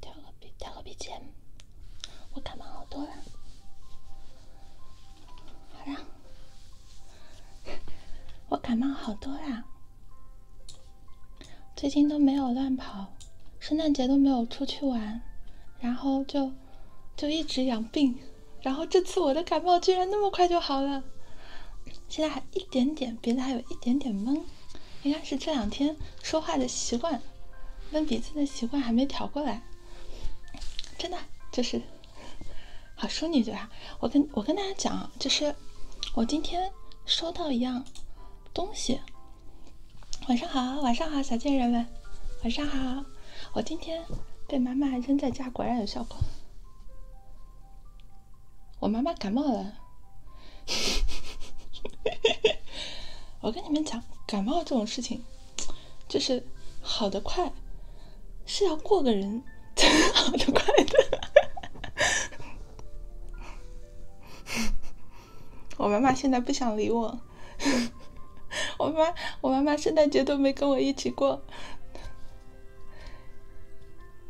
调个笔，调个笔 g 我感冒好多了。好啦，我感冒好多啦，最近都没有乱跑，圣诞节都没有出去玩，然后就就一直养病。然后这次我的感冒居然那么快就好了，现在还一点点，鼻子还有一点点闷，应该是这两天说话的习惯，闷鼻子的习惯还没调过来。真的就是，好淑女对吧？我跟我跟大家讲，就是我今天收到一样东西。晚上好，晚上好，小贱人们，晚上好。我今天被妈妈扔在家，果然有效果。我妈妈感冒了，我跟你们讲，感冒这种事情，就是好的快，是要过个人才能好的快的。我妈妈现在不想理我，我妈，我妈妈圣诞节都没跟我一起过。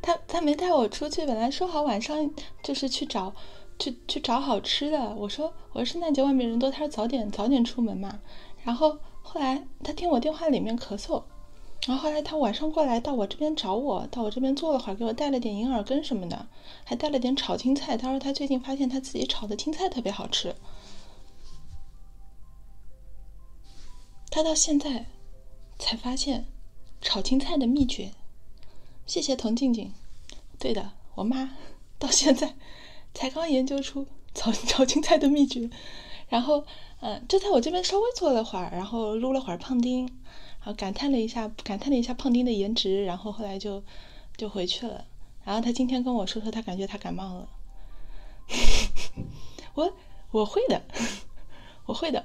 他他没带我出去，本来说好晚上就是去找去去找好吃的。我说我说圣诞节外面人多，他说早点早点出门嘛。然后后来他听我电话里面咳嗽，然后后来他晚上过来到我这边找我，到我这边坐了会儿，给我带了点银耳羹什么的，还带了点炒青菜。他说他最近发现他自己炒的青菜特别好吃。他到现在才发现炒青菜的秘诀。谢谢童静静，对的，我妈到现在才刚研究出炒 炒青菜的秘诀。然后，嗯，就在我这边稍微坐了会儿，然后撸了会儿胖丁，然后感叹了一下，感叹了一下胖丁的颜值。然后后来就就回去了。然后他今天跟我说说，他感觉他感冒了。我。我会的，我会的，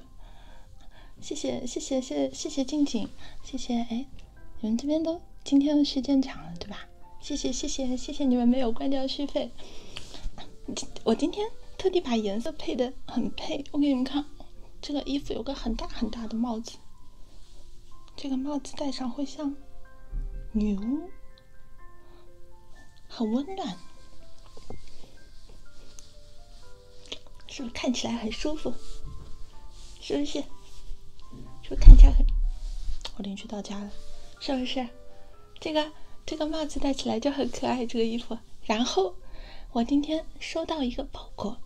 谢谢谢谢谢谢谢静静，谢谢哎，你们这边都今天的时间长了对吧？谢谢谢谢谢谢你们没有关掉续费，我今天特地把颜色配的很配，我给你们看，这个衣服有个很大很大的帽子，这个帽子戴上会像女巫。很温暖，是不是看起来很舒服？是不是？是不是看起来很？我邻居到家了，是不是？这个这个帽子戴起来就很可爱。这个衣服，然后我今天收到一个包裹，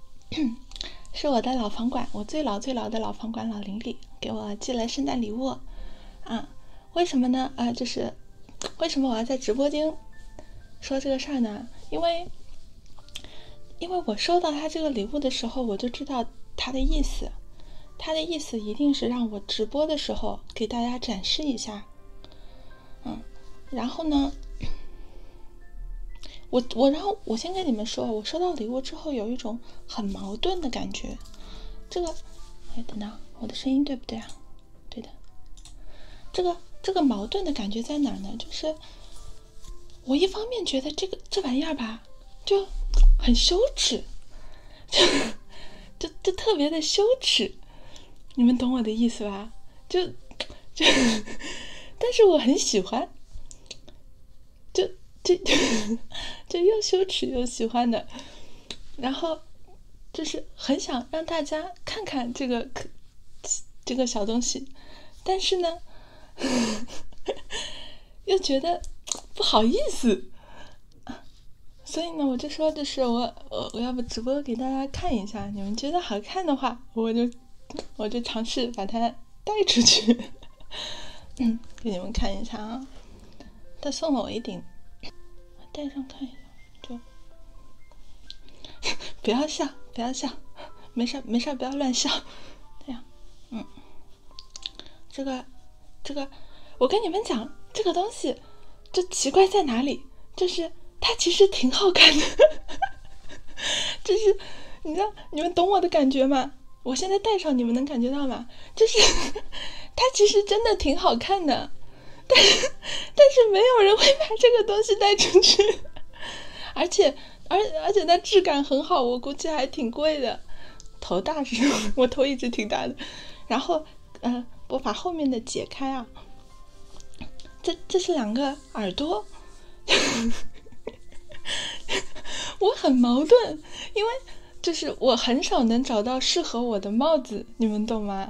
是我的老房管，我最老最老的老房管老邻里给我寄了圣诞礼物啊？为什么呢？啊，就是。为什么我要在直播间说这个事儿呢？因为，因为我收到他这个礼物的时候，我就知道他的意思。他的意思一定是让我直播的时候给大家展示一下，嗯。然后呢，我我然后我先跟你们说，我收到礼物之后有一种很矛盾的感觉。这个，哎，等等，我的声音对不对啊？对的，这个这个矛盾的感觉在哪呢？就是我一方面觉得这个这玩意儿吧，就很羞耻，就就就特别的羞耻，你们懂我的意思吧？就就，但是我很喜欢，就就就又羞耻又喜欢的，然后。就是很想让大家看看这个可这个小东西，但是呢，又觉得不好意思，所以呢，我就说，就是我我我要不直播给大家看一下，你们觉得好看的话，我就我就尝试把它带出去，嗯，给你们看一下啊，他送了我一顶，戴上看一下。就 不要笑，不要笑，没事没事不要乱笑。这 样，嗯，这个，这个，我跟你们讲，这个东西，就奇怪在哪里？就是它其实挺好看的，就是你知道，你们懂我的感觉吗？我现在戴上，你们能感觉到吗？就是它其实真的挺好看的。但是但是没有人会把这个东西带出去，而且而而且它质感很好，我估计还挺贵的。头大是吗？我头一直挺大的。然后，嗯，我把后面的解开啊，这这是两个耳朵。我很矛盾，因为就是我很少能找到适合我的帽子，你们懂吗？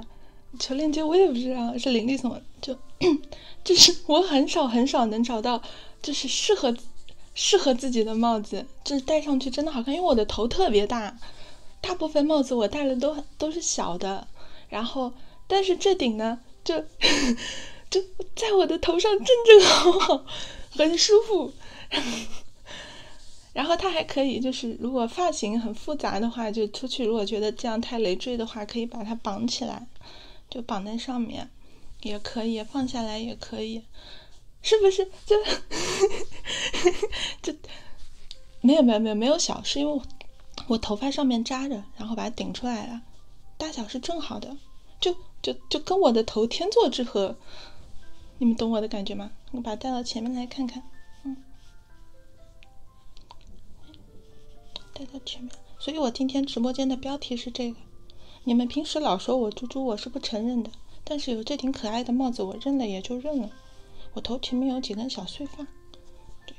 求链接，我也不知道是林立什么，就 就是我很少很少能找到就是适合适合自己的帽子，就是戴上去真的好看，因为我的头特别大，大部分帽子我戴了都都是小的，然后但是这顶呢，就 就在我的头上正正好好，很舒服。然后它还可以，就是如果发型很复杂的话，就出去。如果觉得这样太累赘的话，可以把它绑起来，就绑在上面，也可以放下来，也可以，是不是？就 就没有没有没有没有小，是因为我我头发上面扎着，然后把它顶出来了，大小是正好的，就就就跟我的头天作之合。你们懂我的感觉吗？我把它戴到前面来看看，嗯。带到前面，所以我今天直播间的标题是这个。你们平时老说我猪猪，我是不承认的，但是有这顶可爱的帽子，我认了也就认了。我头前面有几根小碎发，对，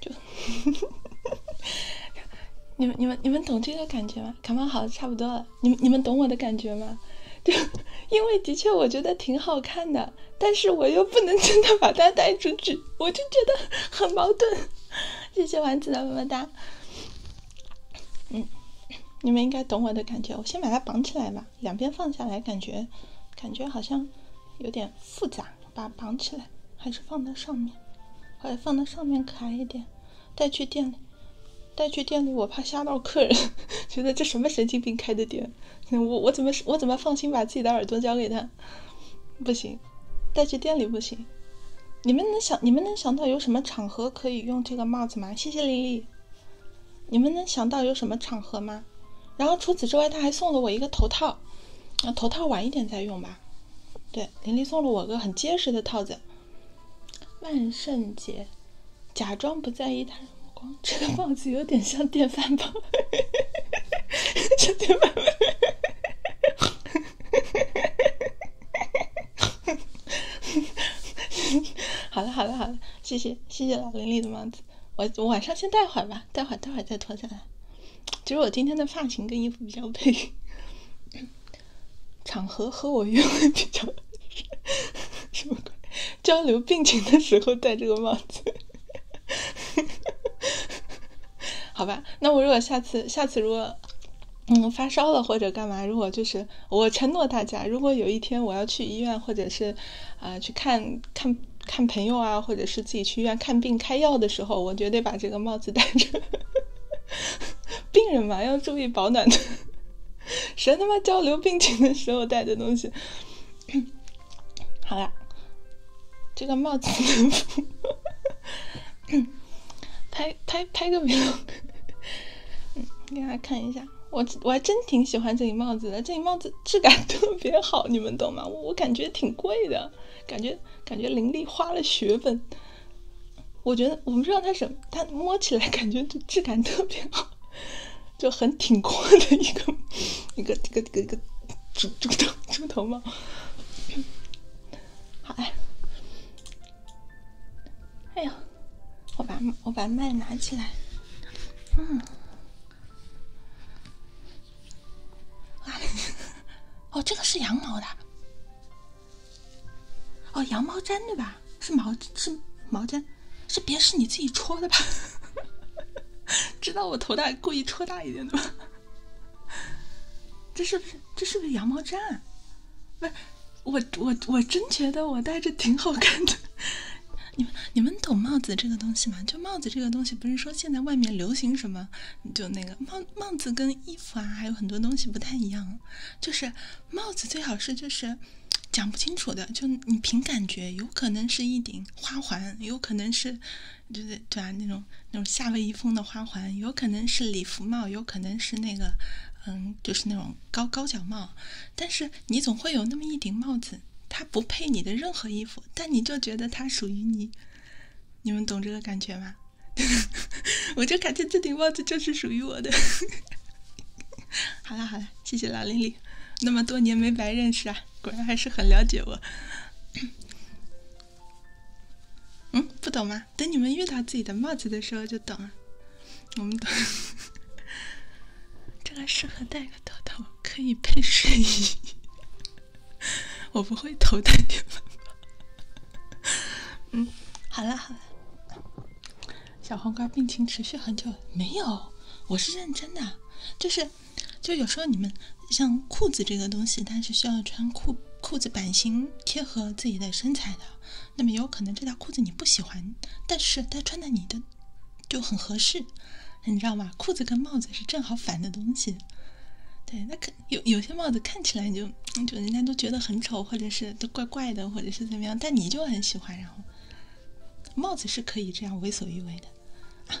就，你们你们你们懂这个感觉吗？感冒好差不多了，你们你们懂我的感觉吗？就，因为的确我觉得挺好看的。但是我又不能真的把它带出去，我就觉得很矛盾。谢谢丸子的么么哒。嗯，你们应该懂我的感觉。我先把它绑起来吧，两边放下来感觉，感觉好像有点复杂。把绑起来还是放到上面？或者放到上面可爱一点。带去店里，带去店里我怕吓到客人，觉得这什么神经病开的店。我我怎么我怎么放心把自己的耳朵交给他？不行，带去店里不行。你们能想你们能想到有什么场合可以用这个帽子吗？谢谢林林，你们能想到有什么场合吗？然后除此之外，他还送了我一个头套，啊，头套晚一点再用吧。对，林林送了我个很结实的套子。万圣节，假装不在意他。这个帽子有点像电饭煲，像电饭煲。好了好了好了，谢谢谢谢老林里的帽子，我我晚上先戴会儿吧，待会儿待会儿再脱下来。其实我今天的发型跟衣服比较配，场合和我约会比较什么鬼？交流病情的时候戴这个帽子，好吧？那我如果下次下次如果嗯发烧了或者干嘛，如果就是我承诺大家，如果有一天我要去医院或者是啊去看看看朋友啊，或者是自己去医院看病开药的时候，我绝对把这个帽子戴着。病人嘛要注意保暖的，谁 他妈交流病情的时候戴的东西？好了，这个帽子，能 不拍拍拍个有？嗯，给大家看一下，我我还真挺喜欢这顶帽子的，这顶帽子质感特别好，你们懂吗？我感觉挺贵的，感觉感觉林丽花了血本，我觉得我不知道它什，它摸起来感觉质感特别好。就很挺阔的一个 一个一个一个猪猪头猪头帽，好嘞，哎呦，我把我把麦拿起来，嗯，啊，哦，这个是羊毛的，哦，羊毛毡对吧？是毛是毛毡。这别是你自己戳的吧？知道我头大，故意戳大一点的吗？这是不是这是不是羊毛毡？不，是，我我我真觉得我戴着挺好看的。你们你们懂帽子这个东西吗？就帽子这个东西，不是说现在外面流行什么，就那个帽帽子跟衣服啊还有很多东西不太一样。就是帽子最好是就是讲不清楚的，就你凭感觉，有可能是一顶。花环有可能是，就是对啊，那种那种夏威夷风的花环，有可能是礼服帽，有可能是那个，嗯，就是那种高高脚帽。但是你总会有那么一顶帽子，它不配你的任何衣服，但你就觉得它属于你。你们懂这个感觉吗？我就感觉这顶帽子就是属于我的。好了好了，谢谢老林里，那么多年没白认识啊。果然还是很了解我。嗯，不懂吗？等你们遇到自己的帽子的时候就懂了。我们懂。这个适合戴个头套，可以配睡衣。我不会头戴们。嗯，好了好了。小黄瓜病情持续很久没有，我是认真的，就是。就有时候你们像裤子这个东西，它是需要穿裤裤子版型贴合自己的身材的。那么有可能这条裤子你不喜欢，但是它穿在你的就很合适，你知道吗？裤子跟帽子是正好反的东西。对，那可有有些帽子看起来就就人家都觉得很丑，或者是都怪怪的，或者是怎么样，但你就很喜欢。然后帽子是可以这样为所欲为的。啊，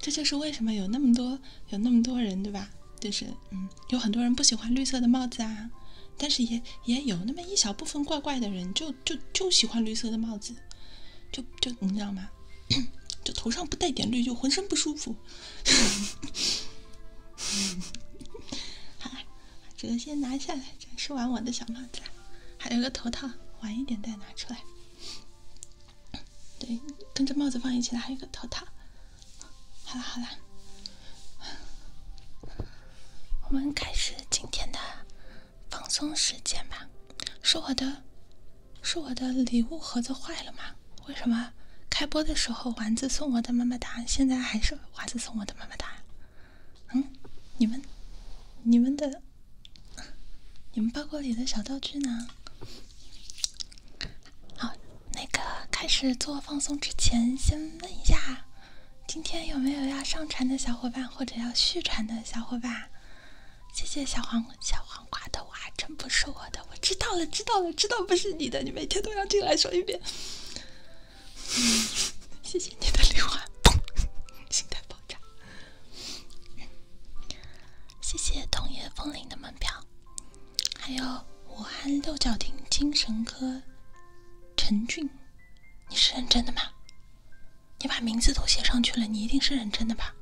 这就是为什么有那么多有那么多人，对吧？就是嗯，有很多人不喜欢绿色的帽子啊，但是也也有那么一小部分怪怪的人，就就就喜欢绿色的帽子，就就你知道吗？就头上不带点绿就浑身不舒服。好这个先拿下来，展示完我的小帽子还有个头套，晚一点再拿出来。对，跟着帽子放一起来，还有个头套。好啦好啦，我们开始今天的放松时间吧。是我的，是我的礼物盒子坏了吗？为什么开播的时候丸子送我的么么哒，现在还是丸子送我的么么哒？嗯，你们，你们的。你们包裹里的小道具呢？好，那个开始做放松之前，先问一下，今天有没有要上传的小伙伴或者要续传的小伙伴？谢谢小黄小黄瓜的娃，真不是我的，我知道了，知道了，知道不是你的，你每天都要进来说一遍。谢谢你的礼物，心态爆炸。谢谢桐叶风铃的门票，还有武汉六角亭精神科陈俊，你是认真的吗？你把名字都写上去了，你一定是认真的吧？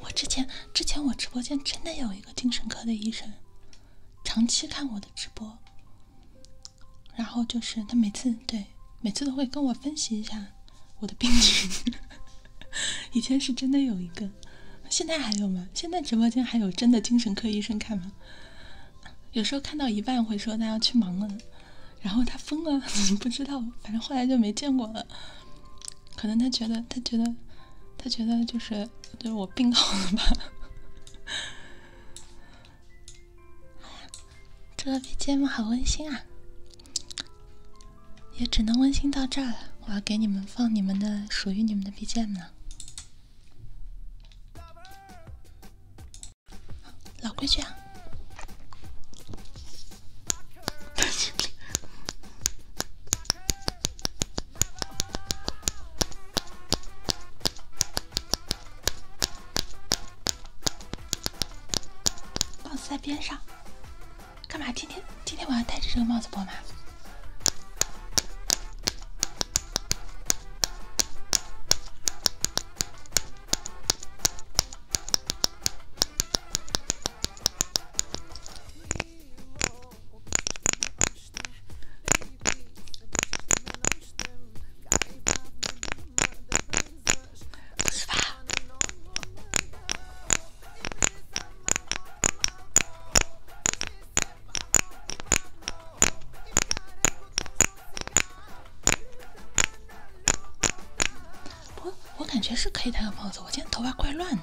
我之前之前我直播间真的有一个精神科的医生，长期看我的直播。然后就是他每次对，每次都会跟我分析一下我的病情。以前是真的有一个，现在还有吗？现在直播间还有真的精神科医生看吗？有时候看到一半会说他要去忙了，然后他疯了，不知道。反正后来就没见过了。可能他觉得，他觉得，他觉得就是就是我病好了吧。好呀，这个 BGM 好温馨啊，也只能温馨到这儿了。我要给你们放你们的属于你们的 BGM 了，老规矩啊。帽子在边上，干嘛？今天今天我要戴着这个帽子播吗？哇！不，我感觉是可以戴个帽子。我今天头发怪乱的。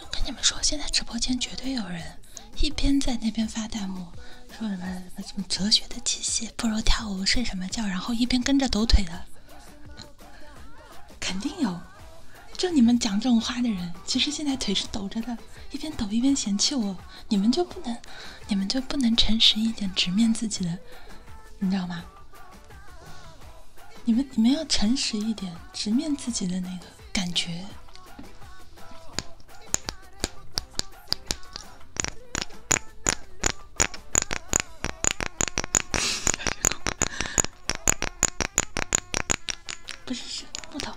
我跟你们说，现在直播间绝对有人一边在那边发弹幕说什么什么什么哲学的气息，不如跳舞睡什么觉，然后一边跟着抖腿的，肯定有。就你们讲这种话的人，其实现在腿是抖着的，一边抖一边嫌弃我，你们就不能，你们就不能诚实一点，直面自己的，你知道吗？你们你们要诚实一点，直面自己的那个感觉。不是木头。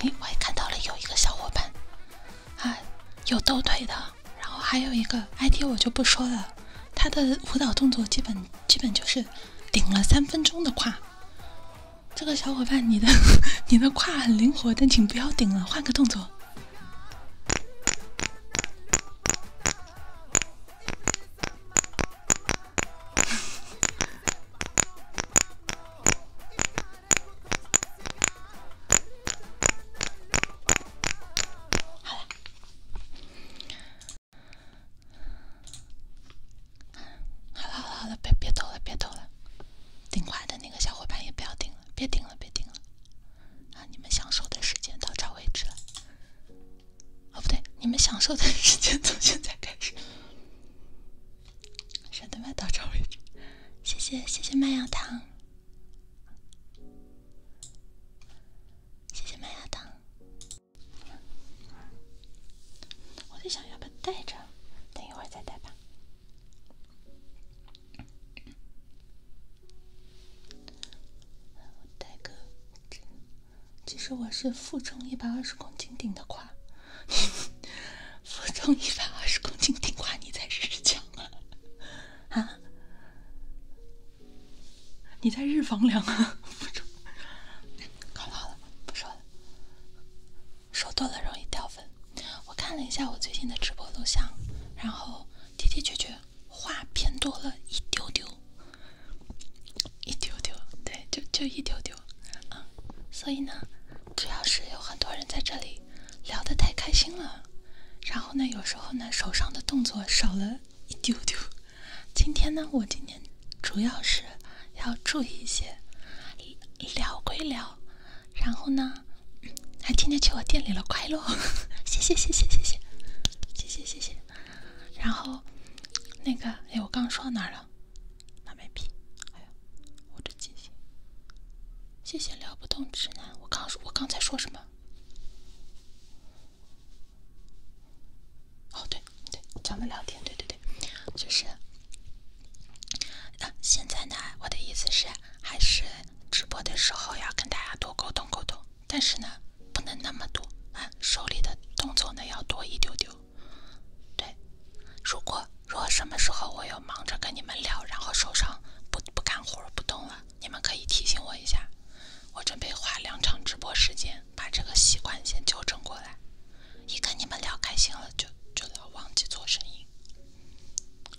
哎，我也看到了，有一个小伙伴啊，有抖腿的，然后还有一个 IT，我就不说了。他的舞蹈动作基本基本就是顶了三分钟的胯。这个小伙伴，你的 你的胯很灵活，但请不要顶了，换个动作。好了，好了好了，别别抖了，别抖了。顶坏的那个小伙伴也不要顶了，别顶了，别顶了。啊，你们享受的时间到这为止了。哦，不对，你们享受的时间从现在开始。小的面到这为止，谢谢谢谢麦芽糖，谢谢麦芽糖。我在想要不要带着，等一会儿再带吧。我大哥，其实我是负重一百二十公斤顶的胯，负重一百二十公斤顶胯，你在日强啊？啊？你在日房量啊？扛牢了，不说了，说多了容易掉粉。我看了一下我最近的直播录像，然后。的的确确，话偏多了一丢丢，一丢丢，对，就就一丢丢，嗯，所以呢，主要是有很多人在这里聊得太开心了，然后呢，有时候呢，手上的动作少了一丢丢。今天呢，我今天主要是要注意一些，聊归聊，然后呢。还天天去我店里了，快乐！谢谢谢谢谢谢谢谢谢谢。然后那个，哎，我刚说到哪儿了？拉麦皮，哎呦，我这记性。谢谢聊不动直男。我刚说，我刚才说什么？哦对对，咱们聊天，对对对，就是啊，现在呢，我的意思是。还是直播的时候要跟大家多沟通沟通，但是呢，不能那么多啊，手里的动作呢要多一丢丢。对，如果如果什么时候我又忙着跟你们聊，然后手上不不干活不动了，你们可以提醒我一下。我准备花两场直播时间把这个习惯先纠正过来，一跟你们聊开心了就就老忘记做生意。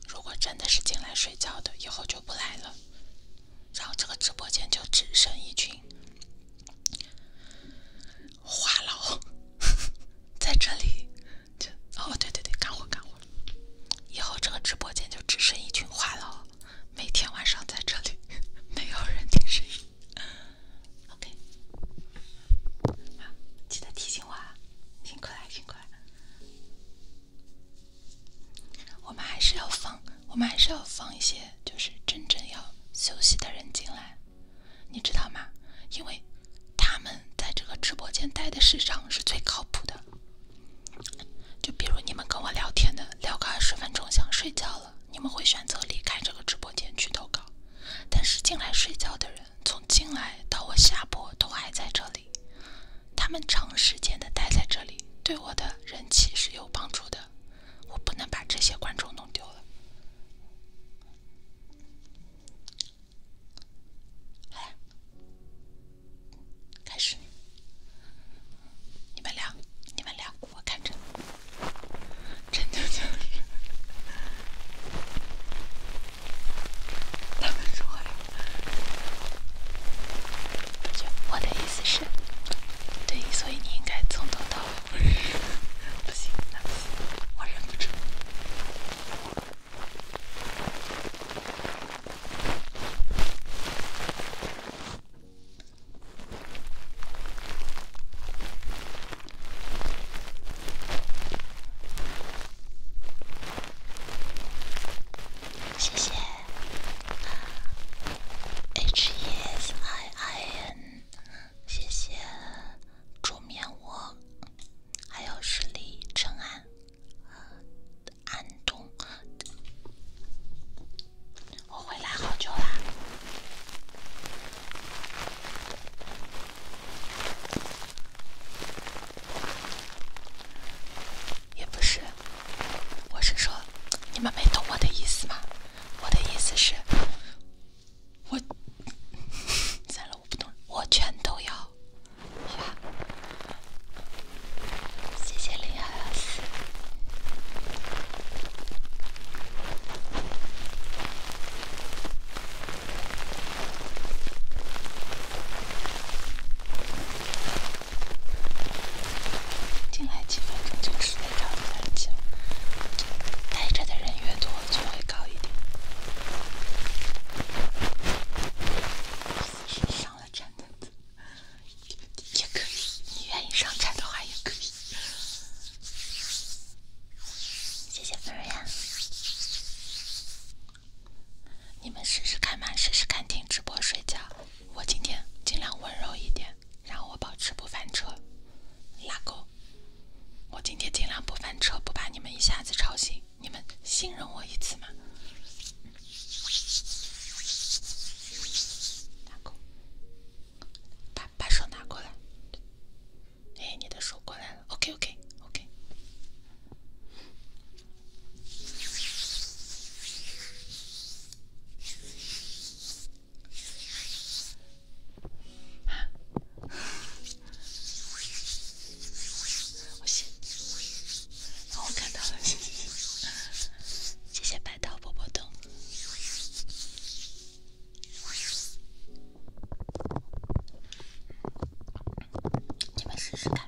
如果真的是进来睡觉的，以后就不来了。然后这个直播间就只剩一群话痨 在这里。就哦，对对对，干活干活！以后这个直播间就只剩一群话痨，每天晚上在这里，没有人听声音。OK，好，记得提醒我啊！辛苦了，辛苦了。我们还是要放，我们还是要放一些就是真正要休息的人进来，你知道吗？因为他们在这个直播间待的时长是最靠谱的。就比如你们跟我聊天的，聊个二十分钟想睡觉了，你们会选择离开这个直播间去投稿。但是进来睡觉的人，从进来到我下播都还在这里。他们长时间的待在这里，对我的人气是有帮助的。我不能把这些观众弄丢了。来，开始，你们俩，你们俩，我看着，真牛牛，他们说呀。我的意思是，对，所以你应该从头到尾。不行，我忍不住。谢谢，H E S I N，谢谢桌面。我还有实力陈安安东，我回来好久啦。也不是，我是说，你们没懂我的意思吗？我的意思是，我算了，我不懂我全都要，好谢谢林海老师。进来几分钟就是来找人抢，待着的人越多就会高一点。上了站的也可以，你愿意上站的话也可以。谢谢菲瑞亚。你们试试看嘛，试试看听直播睡觉。我今天尽量温柔一点，然后我保持不翻车。拉钩！我今天尽量不翻车，不把你们一下子吵醒。你们信任我一次吗？把把手拿过来。诶，你的手过来了。OK OK OK。我写，我看到了，谢谢，谢谢白桃伯伯动，你们试试看。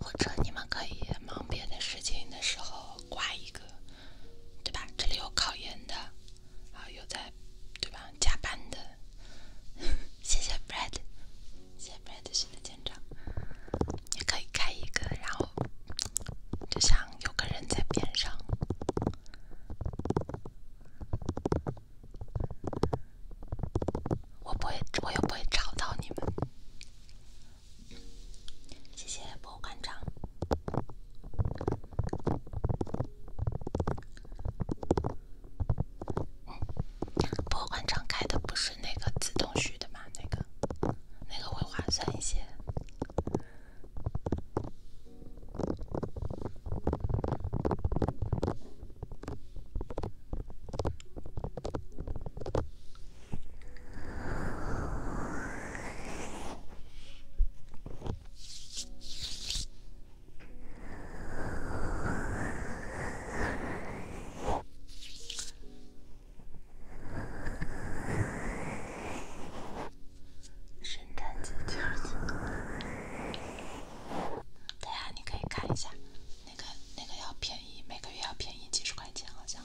或者你们可以忙别的事情的时候挂一个，对吧？这里有考研的，然后有在对吧加班的，谢谢 b r e d 谢谢 b r e d 新的见证，也可以开一个，然后就像有个人在边上，我不会，我又不会吵到你们。谢谢博物馆长，博物馆长开的不是那个自动续的吗？那个，那个会划算一些。圣对呀，你可以看一下，那个那个要便宜，每个月要便宜几十块钱，好像。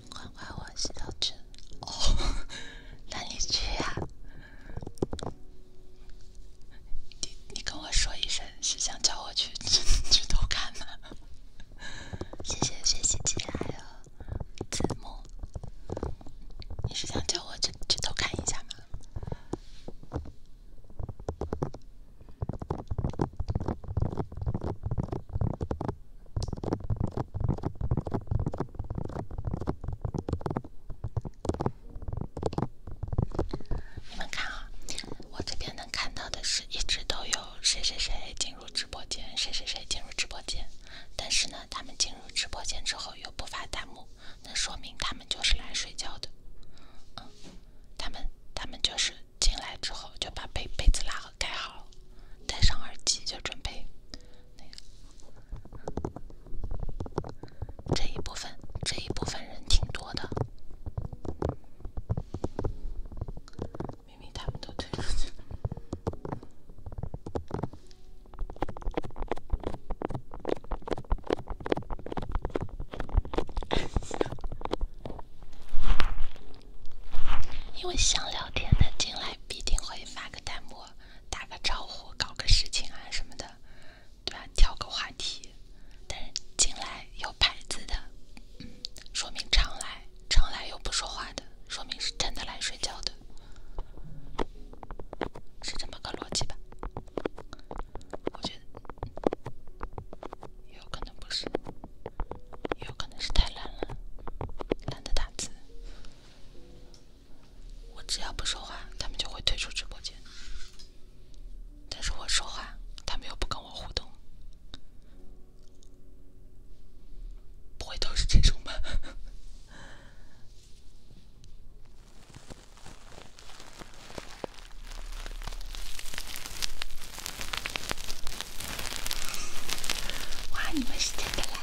管管我洗澡去，哦，那你去呀？你你跟我说一声，是想叫我去 去偷看吗？谢谢谢，习机还有字幕。你是想叫我去去偷看一下吗？你们看啊，我这边能看到的是，一直都有谁谁谁进入直播间，谁谁谁进入直播间。但是呢，他们进入直播间之后又不发弹幕，那说明他们就是来睡觉的。嗯，他们他们就是进来之后就把被被子拉好盖好，戴上耳机就准备。这一部分，这一部分人挺多的。因为想聊天的进来，必定会发个弹幕。打个招呼，搞个事情啊什么的，对吧？挑个话题。但是进来有牌子的，说明常来；常来又不说话的，说明是真的来睡觉的。是这么个逻辑吧？我觉得也有可能不是，也有可能是太懒了，懒得打字。我只要不说话，他们就会退出直播间；但是我说话，他们又不跟我互动。不会都是这种吧？哇，你们是真的来！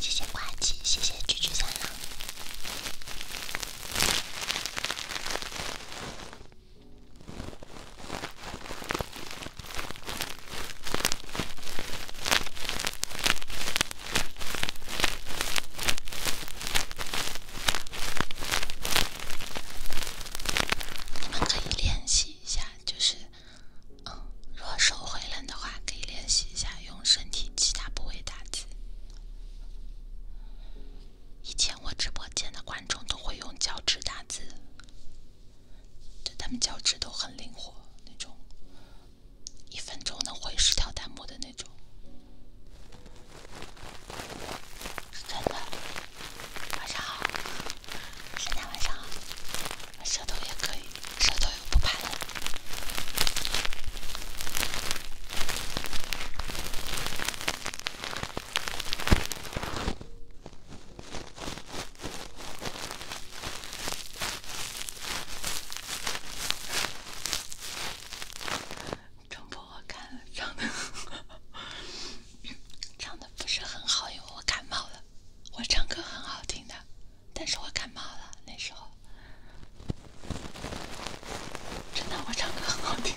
谢谢挂机，谢谢狙击三郎。你们可以练习一下，就是，嗯，若手会冷的话，可以练习一下用身体其他部位打字。以前我直播间的观众都会用脚趾打字。对，他们脚趾都很灵活，那种一分钟能回十条弹幕的那种，真的。晚上好，大家晚上好。舌头也可以，舌头也不怕冷。中播我看了，唱的唱的不是很好，因为我感冒了。我唱歌很好听的，但是我感冒了那时候，真的我唱歌很好听。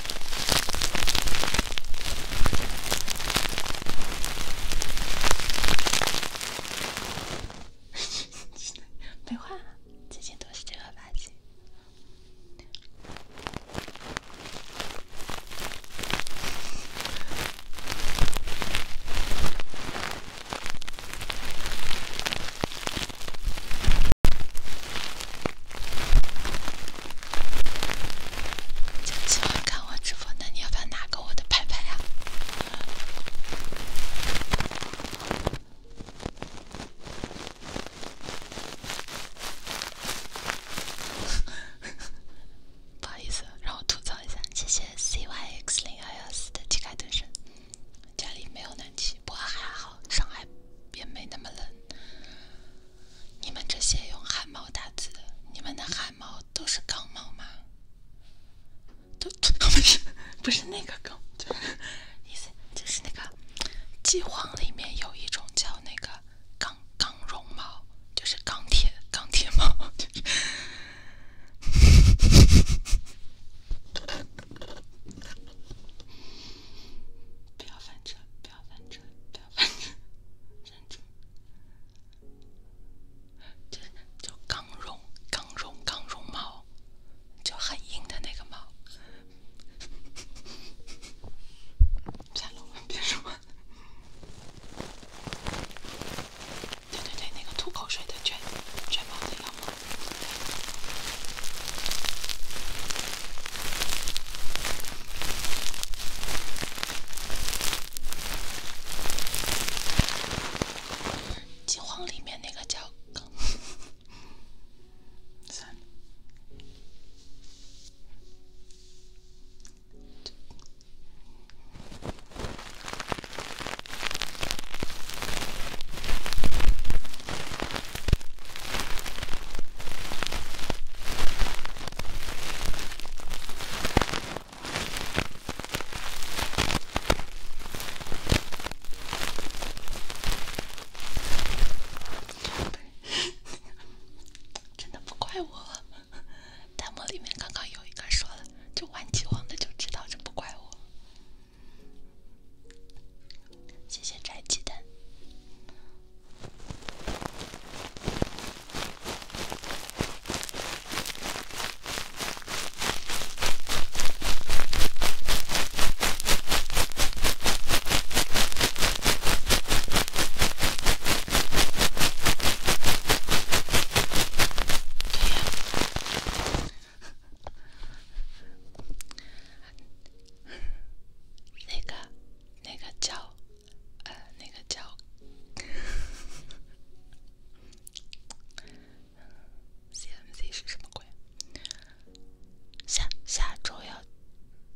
没话，最近都是正儿八经。喜欢看我直播，那你要不要拿个我的牌牌呀？不好意思，让我吐槽一下，谢谢 C Y X 零幺幺四的体开蹲身。家里没有暖气，不过还好，上海别没那么冷。你们这些用汗毛打字的，你们的汗毛都是钢毛吗？都不是，不是那个钢，就是意思就是那个，金黄里面有一种叫那个钢钢绒毛，就是钢铁钢铁毛。不要翻车！不要翻车！不要翻车！忍住！就就刚绒刚绒刚绒猫，就很硬的那个猫。三楼，别说。对对对，那个吐口水的卷卷毛的。《金荒》里面那个叫。真的不怪我。弹幕里面刚刚有一个说了，就玩棋王的就知道，这不怪我。谢谢宅鸡蛋。那个，那个叫，呃，那个叫 c M c 是什么鬼？下下周要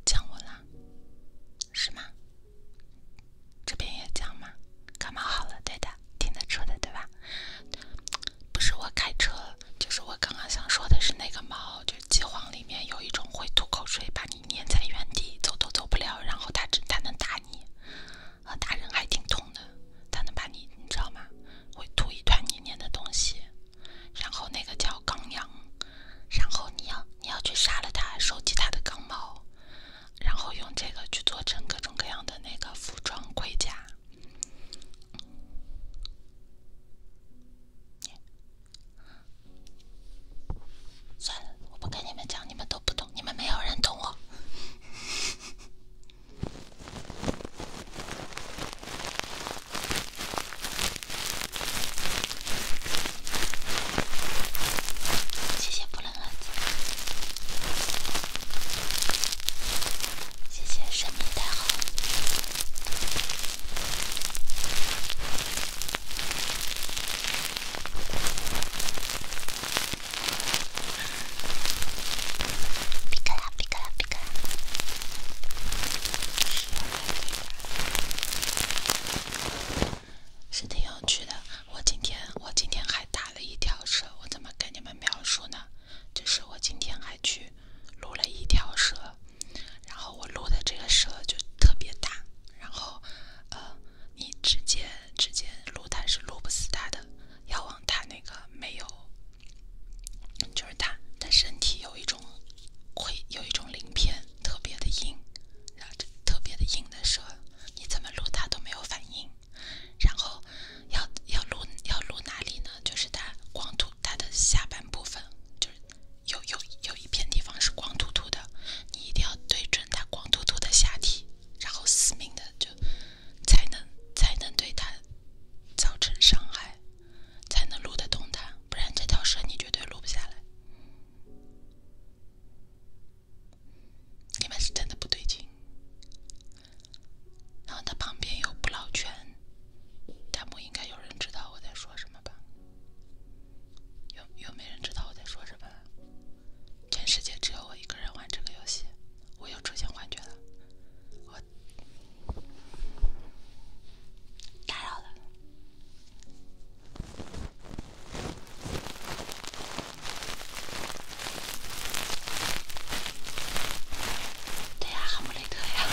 降温啦，是吗？这边也降吗？感冒好了，对的，听得出的，对吧？不是我开车。就是我刚刚想说的是，那个猫，就是饥荒里面有一种会吐口水，把你粘在原地，走都走不了。然后它只它能打你，呃，打人还挺痛的。它能把你，你知道吗？会吐一团黏黏的东西。然后那个叫钢羊，然后你要你要去杀了它，收集它的钢毛，然后用这个去做成各种各样的那个服装盔甲。算了，我不跟你们讲，你们都不懂，你们没有人懂我。谢谢不能啊子，谢谢生命太好。皮是挺有趣的。我今天我今天还打了一条蛇，我怎么跟你们描述呢？就是我今天还去。录了一条蛇，然后我录的这个蛇就特别大，然后呃，你直接直接录它是录不死它的，要往它那个没有，就是它的身体有一种会有一种鳞片特别的硬，然后特别的硬的蛇，你怎么录它都没有反应，然后要要录要录哪里呢？就是它光秃它的下半部分，就是。有有有一片地方是光秃秃的，你一定要对准它光秃秃的下体，然后死命的就才能才能对它造成伤害，才能撸得动它，不然这条蛇你绝对撸不下来。里面是真的不对劲，然后它旁边有不老泉。弹幕应该有人知道我在说什么吧？有有没人知道我在说什么？全世界只有我一个人玩这个游戏，我又出现幻觉了。我打扰了。对呀，哈姆雷特呀！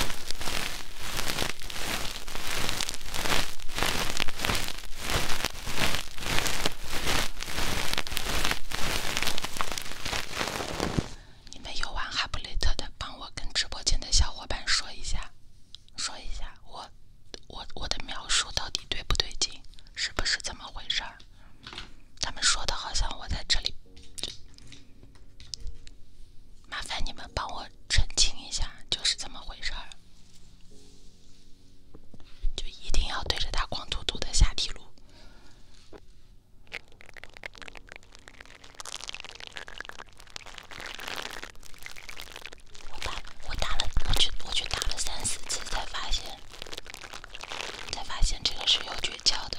你们有玩哈姆雷特的，帮我跟直播间的小伙伴说一下，说一下我我我的描述到底对不对劲，是不是这么回事儿？他们说的好像我在这里。麻烦你们帮我澄清一下，就是怎么回事儿？就一定要对着他光秃秃的下体撸。我打，我打了，我去，我去打了三四次，才发现，才发现这个是有诀窍的。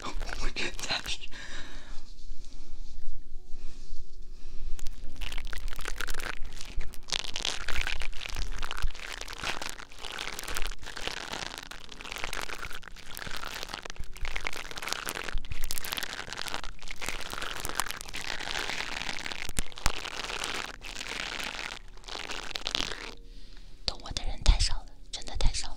懂我的人太少了，真的太少了。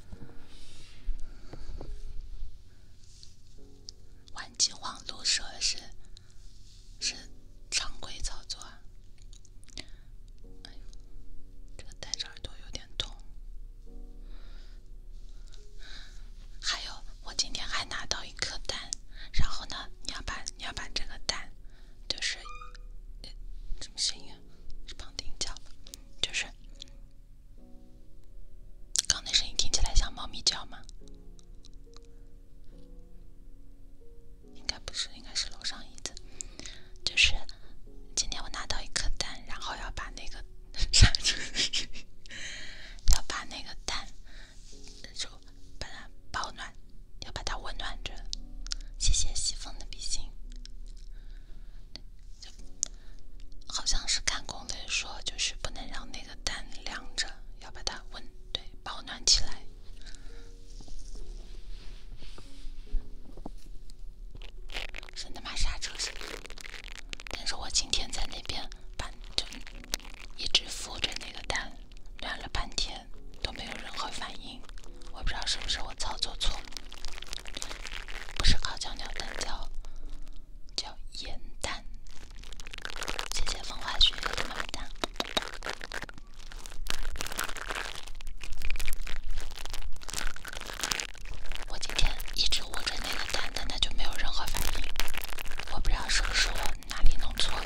玩饥荒撸蛇是是常规操作。哎这个戴着耳朵有点痛。还有，我今天还拿到一颗蛋，然后呢，你要把你要把这个蛋，就是怎么声音啊？是旁听角，就是。刚那声音听起来像猫咪叫吗？应该不是，应该是楼上椅子。就是今天我拿到一颗蛋，然后要把那个，要把那个蛋，就把它保暖，要把它温暖着。谢谢西风的比心。好像是看攻略说，就是不能让那个蛋凉着，要把它温对保暖起来。省得嘛刹车但是我今天在那边把就一直扶着那个蛋，凉了半天都没有任何反应。我不知道是不是我操作错。不是烤焦鸟蛋，叫叫盐蛋。谢谢风花雪，么么哒。我今天一直握着那个蛋，但它就没有任何反应。我不知道是不是我哪里弄错了。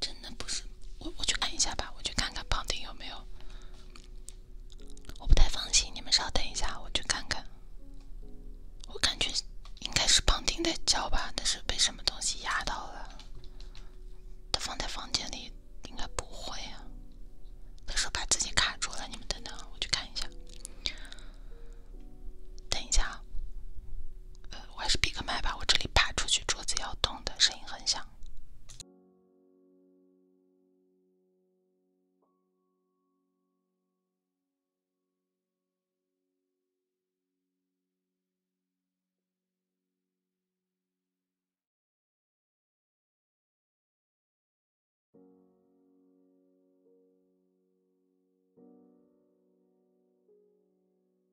真的不是我，我去看一下吧，我去看看旁听有没有。我不太放心，你们稍等一下，我去看看。我感觉应该是旁听在叫吧，但是被什么东西压到了。他放在房间里，应该不会啊。他说把自己卡住了，你们等等，我去看一下。等一下啊。我还是闭个麦吧，我这里爬出去，桌子要动的声音很响。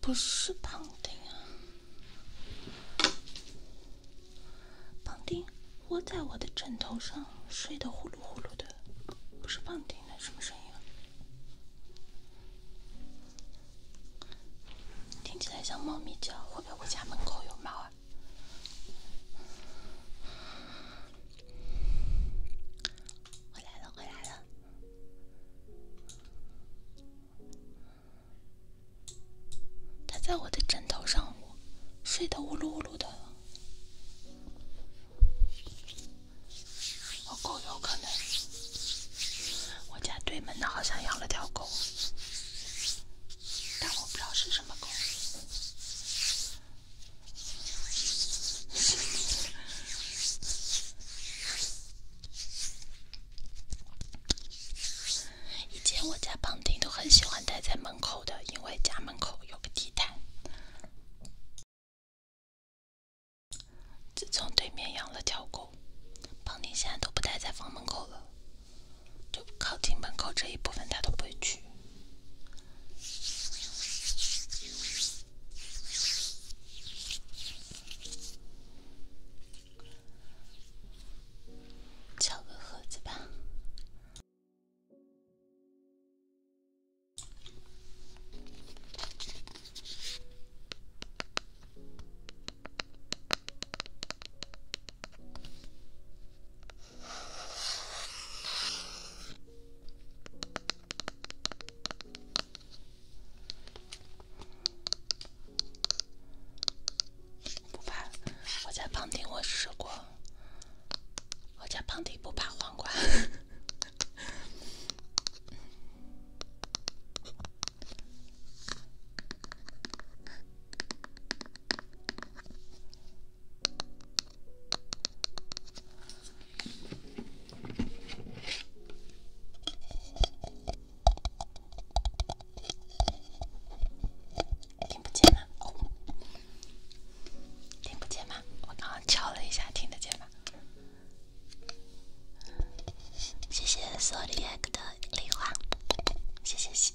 不，不是绑定啊！绑定窝在我的枕头上，睡得呼噜呼噜的。不是绑定那什么声音啊？听起来像猫咪叫，会不会我家门口有猫啊？回来了，回来了。他在我的枕头上，我睡得呜噜呜噜的。我狗有可能，我家对门的好像养了条狗。但我不知道是什么狗。以前我家胖丁都很喜欢待在门口的，因为家门口有个地毯。自从对面养了条狗，胖丁现在都不待在房门口了。就靠近门口这一部分，他都不会去。敲个盒子吧。不怕，我在旁听。我试过，我家旁听，不怕黄瓜。听不见吗？听不见吗？我刚刚敲了一下，听得见吗？谢谢索利克的礼花，谢谢。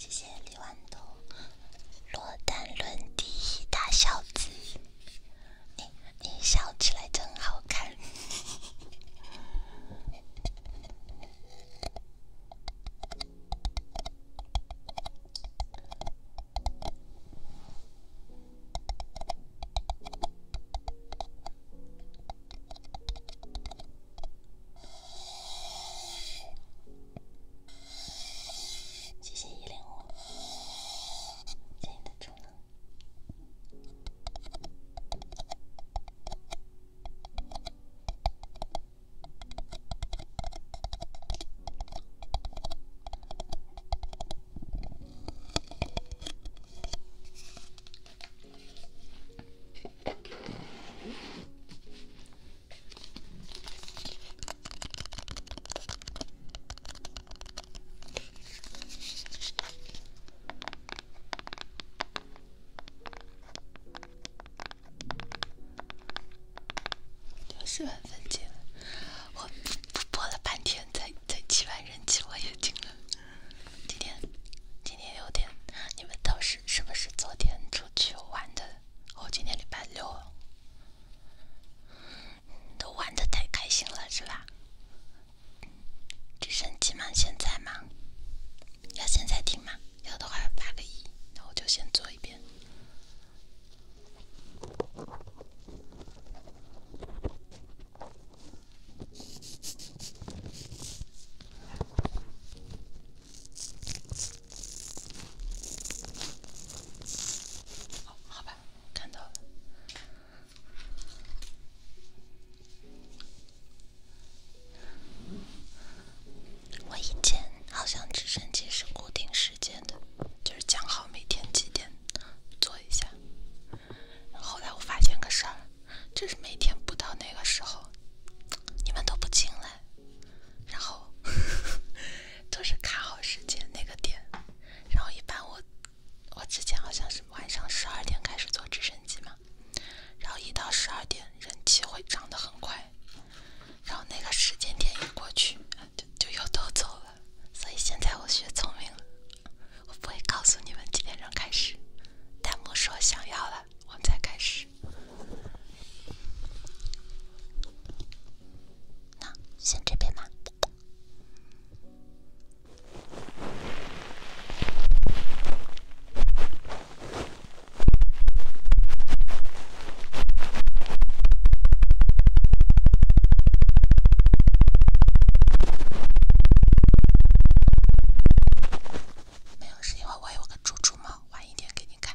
谢谢李豌豆，落单论第一大孝子，你你笑起来真好看。谢谢一零五，谢谢你的宠粉。都是很纯洁我播了半天，才才七万人气，我也停了。今天今天有点，你们都是是不是昨天出去玩的？哦，今天礼拜六，都玩的太开心了，是吧？直升机吗？现在吗？要现在听吗？要的话发个一，那我就先做一遍。好好吧，看到了。我以前好像直升机是固定式。时间的，就是讲好每天几点做一下。后来我发现个事儿，就是每天不到那个时候，你们都不进来，然后 都是卡好时间那个点。然后一般我，我之前好像是晚上十二点开始坐直升机嘛，然后一到十二点人气会涨得很快，然后那个时间点一过去。就就又都走了，所以现在我学聪明了，我不会告诉你们几点钟开始，弹幕说想要了，我们再开始。那先这边吧。没有，是因为我有个猪猪猫，晚一点给你看。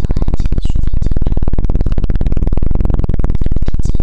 早安，亲爱的徐飞舰长。咱们中间谈一下。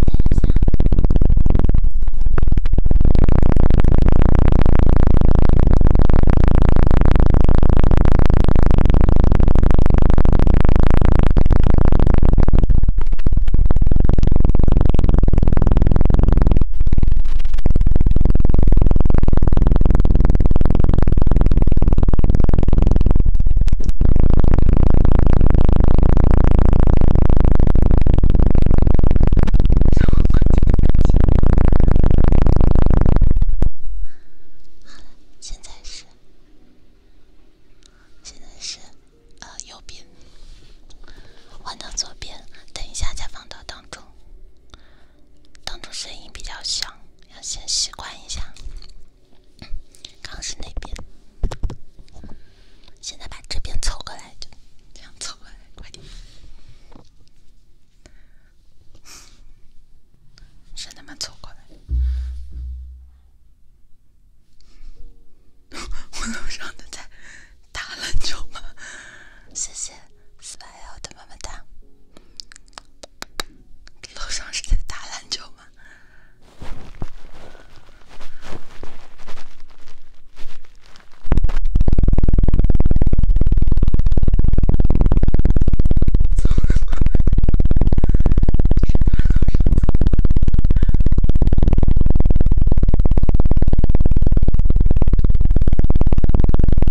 好，现在是现在是呃右边，换到左边，等一下再放到当中，当中声音比较响。要先习惯一下，刚是那边，现在把这边凑过来就这样凑过来，快点，是那么凑过来。我楼上的在打篮球吗？谢谢 s p a 的么么哒。楼上是在打篮球吗？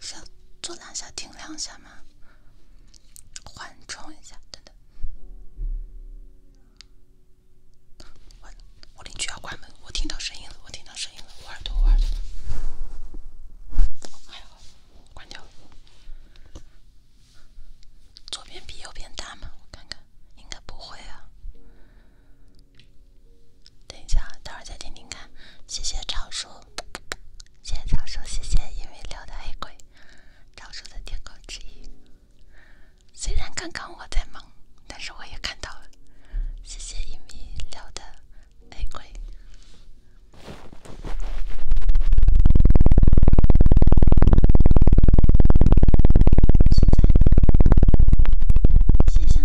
是是，做两下停两下吗？缓冲一下，等等。我我邻居要关门，我听到声音了，我听到声音了，我耳朵我耳朵还好，关掉。了。左边比右边大吗？我看看，应该不会啊。等一下，待会儿再听听看。谢谢超叔，谢谢超叔，谢谢因为六的黑鬼。专属的天空之翼。虽然刚刚我在忙，但是我也看到了。谢谢一米六的玫瑰。现在呢？接下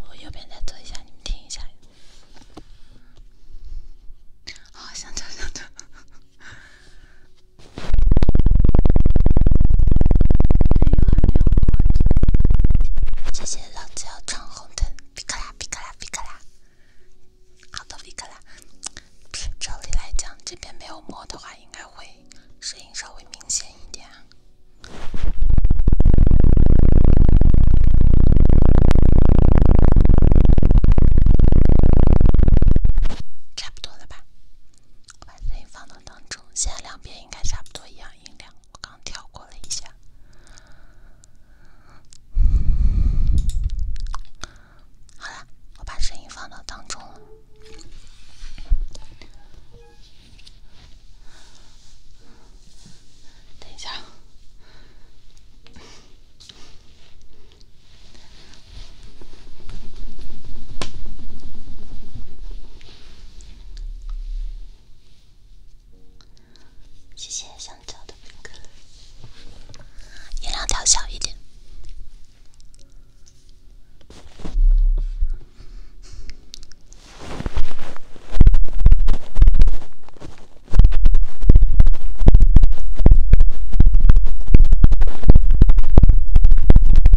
我右边再做一下，你们听一下。好，响着响着。谢谢，老子要闯红灯，皮克拉皮克拉皮克拉，奥托皮克拉。照理来讲，这边没有磨的话，应该会声音稍微明显一点。差不多了吧。声音放到当中，现在两边应该差不多一样音量。我刚调过了一下，好了，我把声音放到当中了。等一下。谢谢香蕉的兵哥，音量调小一点。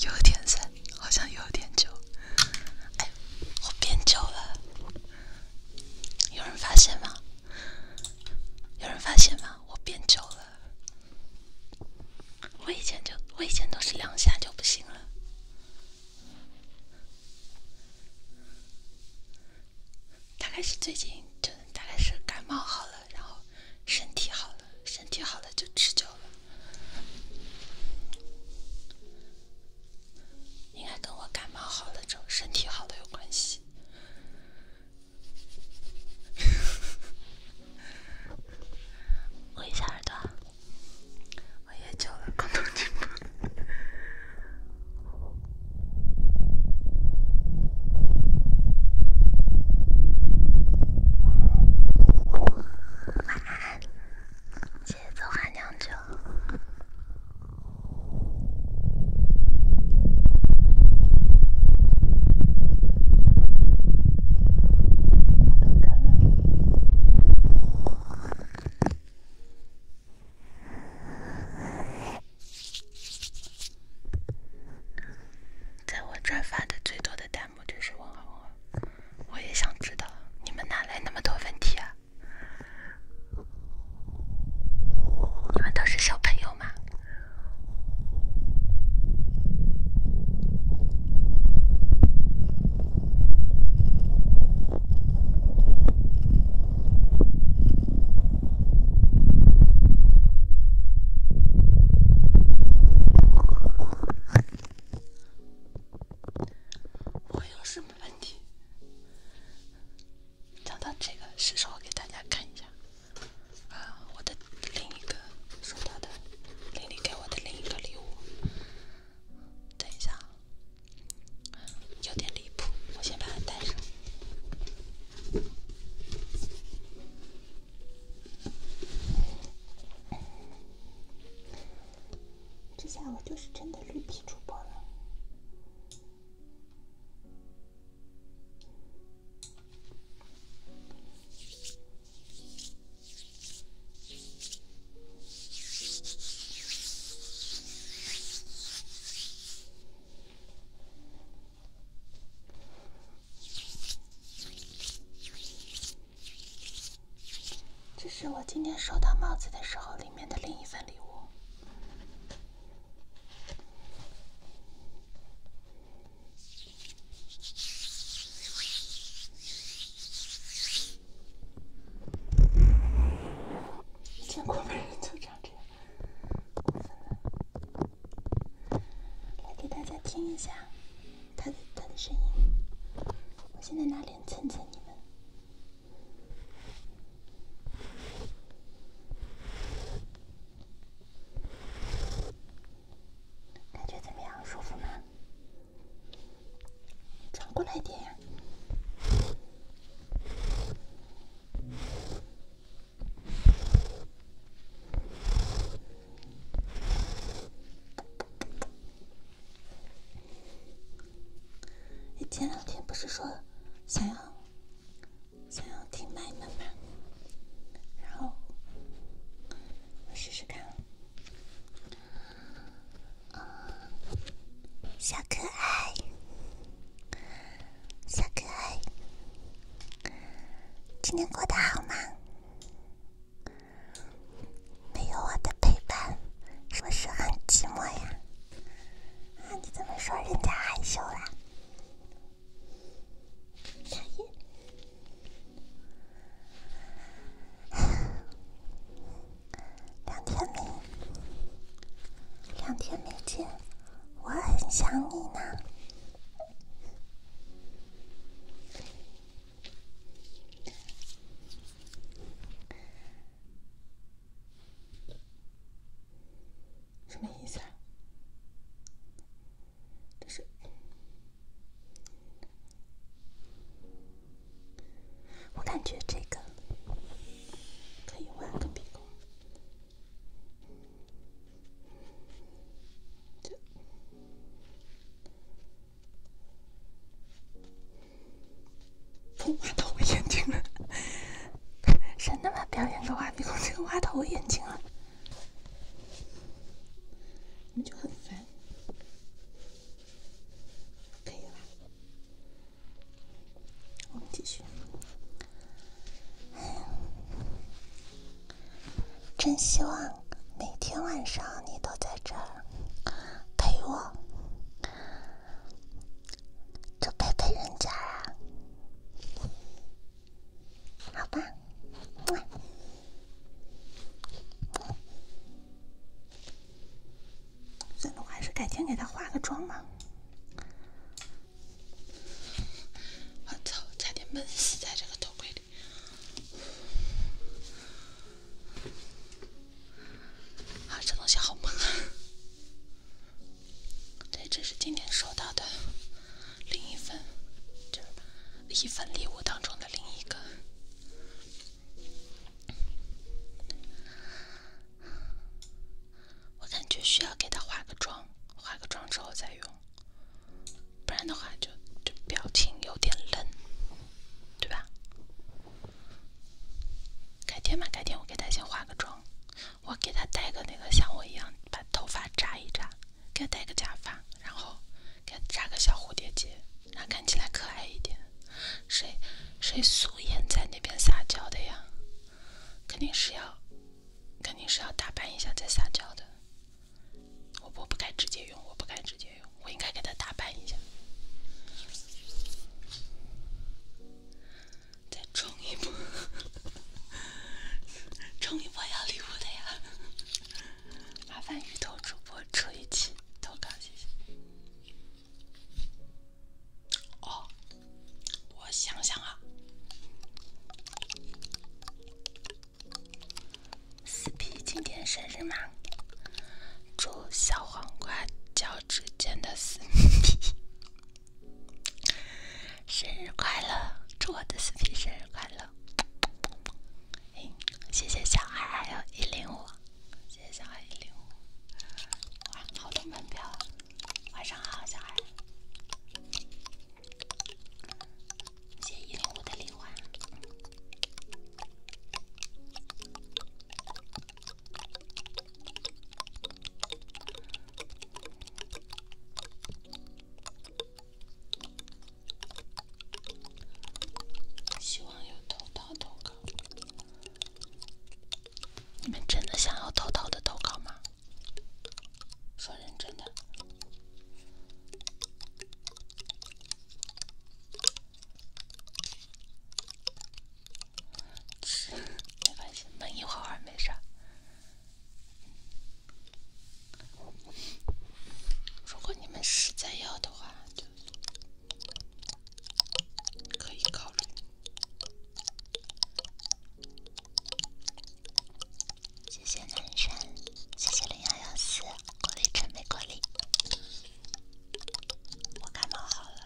有点深，好像有点久。哎，我变久了，有人发现吗？有人发现吗？我变久了。我以前就，我以前都是两下就不行了。大概是最近就大概是感冒好了，然后身体好了，身体好了就持久了。应该跟我感冒好了，这种身体好了有关系。捂一下耳朵，我研究了，节奏酣酿酒，在我转发的最多的弹幕。我真是忘了，我也想知道你们哪来那么多问题啊？你们都是小朋友吗？我有什么问题。讲到这个，是时候给大家看一下，啊，我的另一个收到的，玲玲给我的另一个礼物。等一下，有点离谱，我先把它带上。这下我就是真的绿皮主播了。这是我今天收到帽子的时候，里面的另一份礼物。见过的人就长这样。来给大家听一下。他的他的声音，我现在拿脸蹭蹭你们，感觉怎么样？舒服吗？转过来点。你前两天不是说想要想要听麦吗？然后我试试看。啊，小可爱，小可爱，今天过得好吗？没有我的陪伴，是不是很寂寞呀？啊，你怎么说人家害羞啦？两天没见，我很想你呢。什么意思啊？但是，我感觉这个可以玩个比公。花头眼睛了，谁他妈表演个挖鼻孔、花头、眼睛啊？我们就很烦，可以了。我们继续，真希望。每天晚上你都在这儿陪我，就陪陪人家啊，好吧？算了，我还是改天给他化个妆吧。我操，差点闷死在这个头盔里。啊，这东西好萌啊！对，这是今天收到的另一份，就一份礼物当中的另一个。我感觉需要给他化个妆，化个妆之后再用。不然的话，就就表情有点愣，对吧？改天嘛，改天我给他先化个妆，我给他戴个那个像我一样把头发扎一扎，给他戴个假发，然后给他扎个小蝴蝶结，让他看起来可爱一点。谁谁素颜在那边撒娇的呀？肯定是要肯定是要打扮一下再撒娇的。我我不该直接用，我不该直接用，我应该给他打扮一下。再冲一波，冲一波要礼物的呀！麻烦鱼头主播出一气投稿，谢谢。哦，我想想啊。四皮今天生日吗？祝小黄瓜脚趾间的四皮生日快乐！祝我的四皮生日快乐！谢谢小孩，还有一零五，谢谢小孩一零五，哇，好多门票啊！晚上好，小孩，谢谢一零五的礼花。希望有投稿投稿。你们真的想要偷偷的投稿吗？说认真的。没关系，闷一会儿没事如果你们实在要的话，可以考虑。谢谢南山，谢谢零幺幺四，鼓励真没过励。我感冒好了。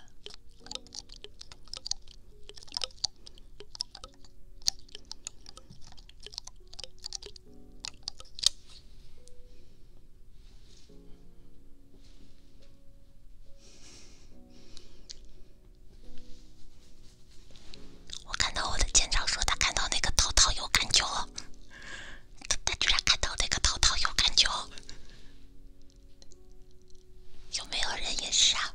我看到我的舰长说他看到那个涛涛有感觉了。他他居然看到那个涛涛有感觉，有没有人也是啊？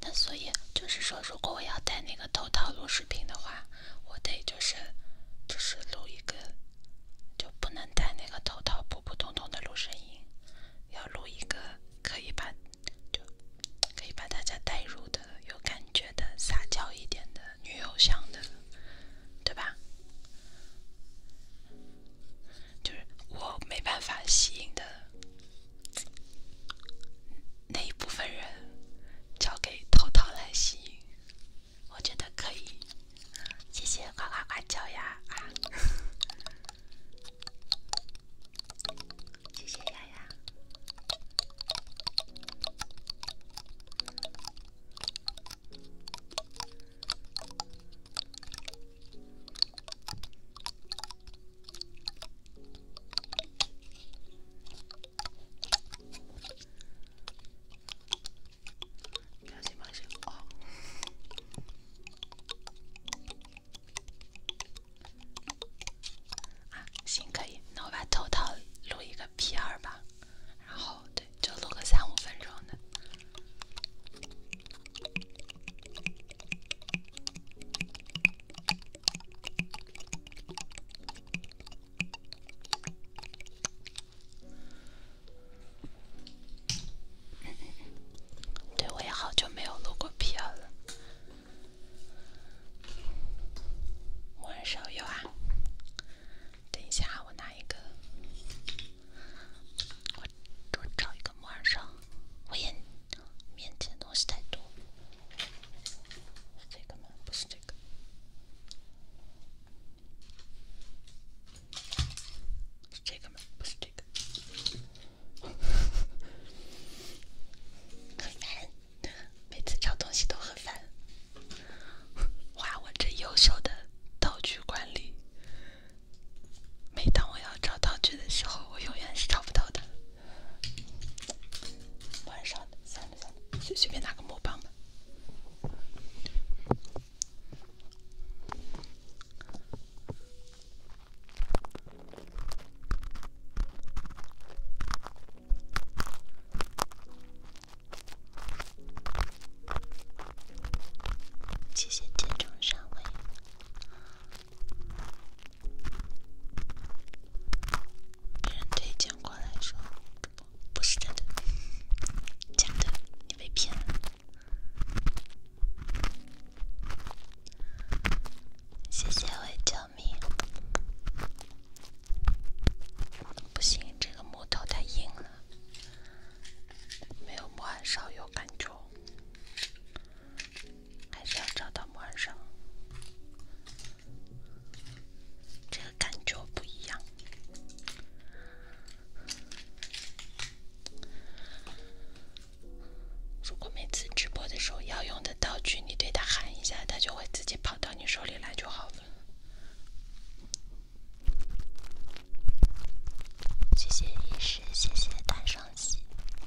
那所以就是说，如果我要戴那个头套录视频的话，我得就是就是录一个，就不能戴那个头套普普通通的录声音，要录一个可以把就可以把大家带入的有感觉的撒娇一点的女友像的，对吧？就是我没办法吸引的。那一部分人交给涛涛来吸引，我觉得可以。谢谢呱呱呱，小呀，谢谢丫丫。表情包秀哦！啊，新开的，那我把头套录一个 P 二吧，然后对，就录个三五分钟的。对，我也好久没有录过 P.R. 了。木人手有啊？等一下，我拿一个，我找一个木人手，我眼面前东西太多。这个吗？不是这个。是这个吗？不是这个。很烦，每次找东西都很烦。哇，我这优秀的道具管理，每当我要找道具的时候，我永远是找不到的。晚上的，算了算了，随随便拿个魔棒吧。谢谢剑中上位。别人推荐过来说，不，是真的，假的，你被骗了。谢谢我救命！不行，这个木头太硬了，没有木炭烧有感觉。还是要找到木偶上，这个感觉不一样。如果每次直播的时候要用的道具，你对它喊一下，它就会自己跑到你手里来就好了。谢谢医师，谢谢单双喜。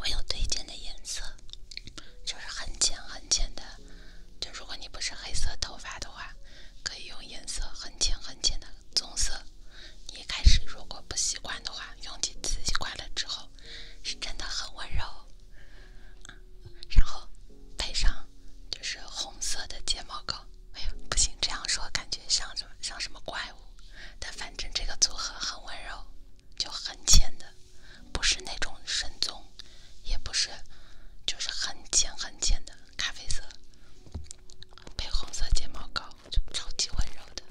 我有推荐的颜色，就是很浅很浅的。就如果你不是黑色头发的话，可以用颜色很浅很浅的棕色。你一开始如果不习惯的话，用几次习惯了之后，是真的很温柔。然后配上就是红色的睫毛膏，哎呀，不行，这样说感觉像什么像什么怪物。但反正这个组合很温柔，就很浅的，不是那种深棕，也不是，就是很浅很浅的咖啡色，配红色睫毛膏就超级温柔的。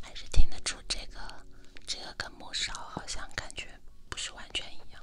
还是听得出这个，这个跟木勺好像感觉不是完全一样。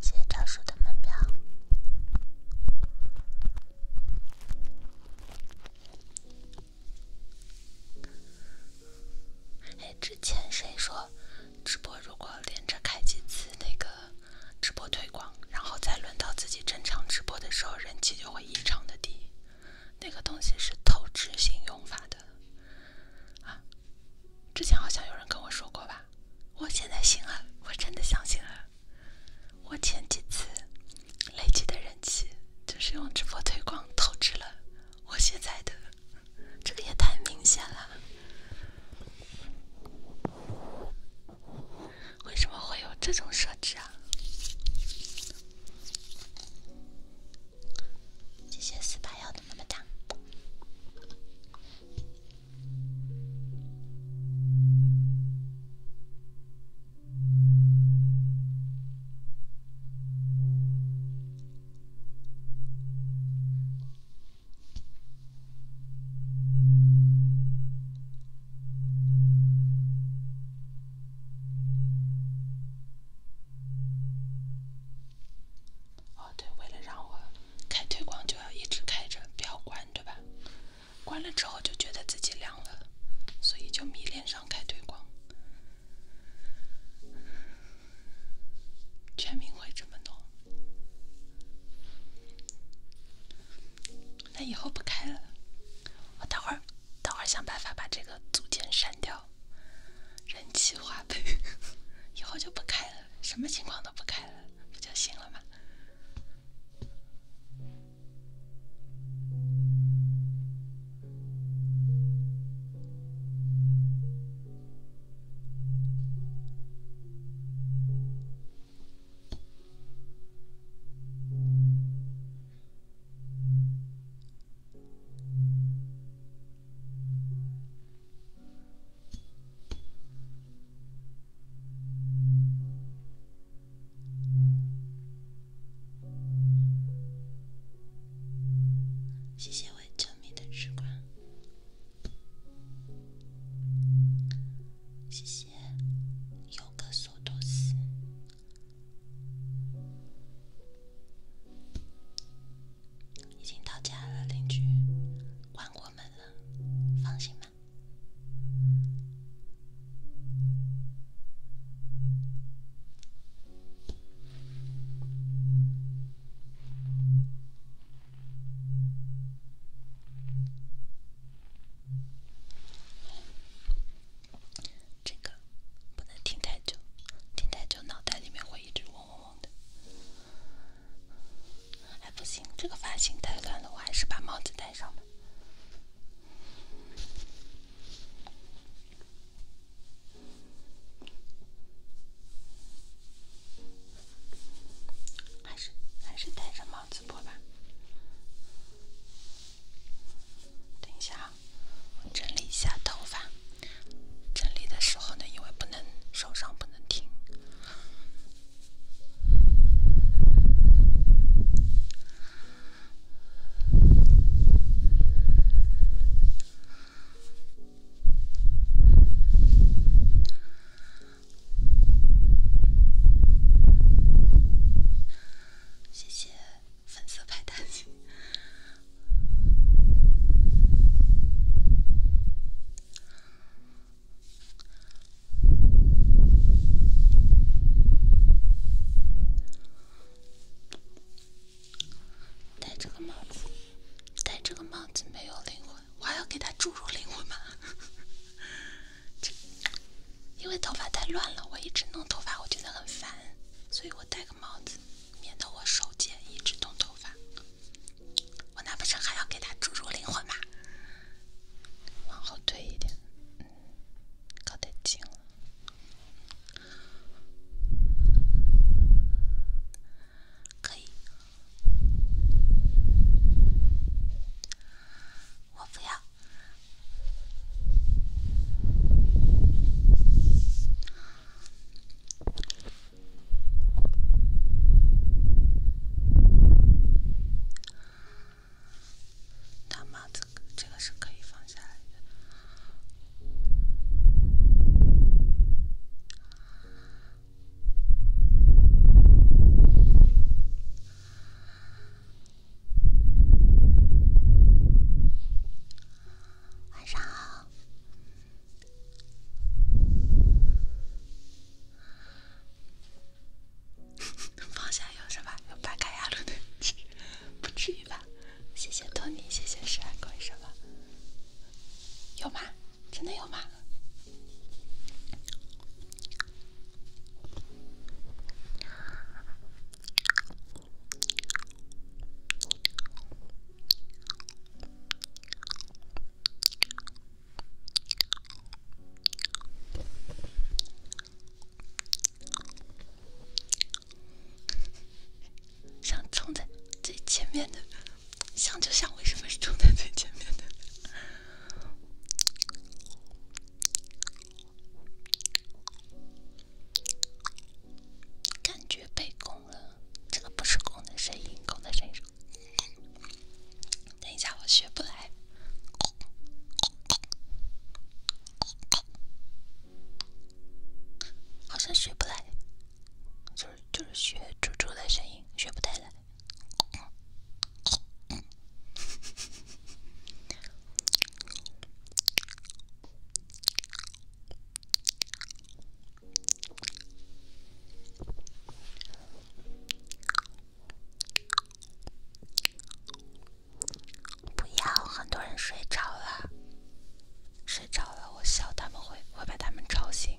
谢谢赵叔的门票。之前谁说直播如果连着开几次那个？直播推广，然后再轮到自己正常直播的时候，人气就会异常的低。那个东西是透支性用法的，啊，之前好像有人跟我说过吧？我现在信了，我真的相信了。我前几次累积的人气，就是用直播推广透支了。我现在的这个也太明显了。为什么会有这种设置啊？谢谢四八幺的么么哒。哦，对，为了让我开推广，就要一直开着，不要关，对吧？关了之后就觉得自己凉了，所以就迷恋上开推广。全民会这么弄？那以后不开了，我等会儿等会儿想办法把这个组件删掉，人气花呗，以后就不开了，什么情况都不开了，不就行了吗？谢谢我救命的时光，谢谢。有个速度死，已经到家了，邻居关过门了，放心吧。这个不能听太久，听太久脑袋里面会一直嗡嗡嗡的。还不行，这个发型太乱了，我还是把帽子戴上吧。还是还是戴着帽。直播吧，等一下啊，我整理一下头发。整理的时候呢，因为不能手上不能停。谢谢粉色派大星。戴这个帽子，戴这个帽子没有灵魂，我还要给他注入灵魂吗？这，因为头发太乱了，我一直弄头发，我觉得很烦，所以我戴个帽子，免得我手贱一直弄头发。我难不成还要给他注入灵魂吗？往后推一点，靠得点了。可以。我不要，大帽子这个是可以放下来的。晚上好。方向有什么？有八嘎呀路的？不至于吧？谢谢托尼，谢谢十二公，什么？有吗？真的有吗？想冲在最前面的，想就想，为什么是冲在最前面的？感觉被攻了，这个不是攻的声音，攻的声音。等一下，我学不来，好像学不来，就是就是学猪猪的声音，学不太来。不要，很多人睡着了，睡着了，我笑他们会会把他们吵醒。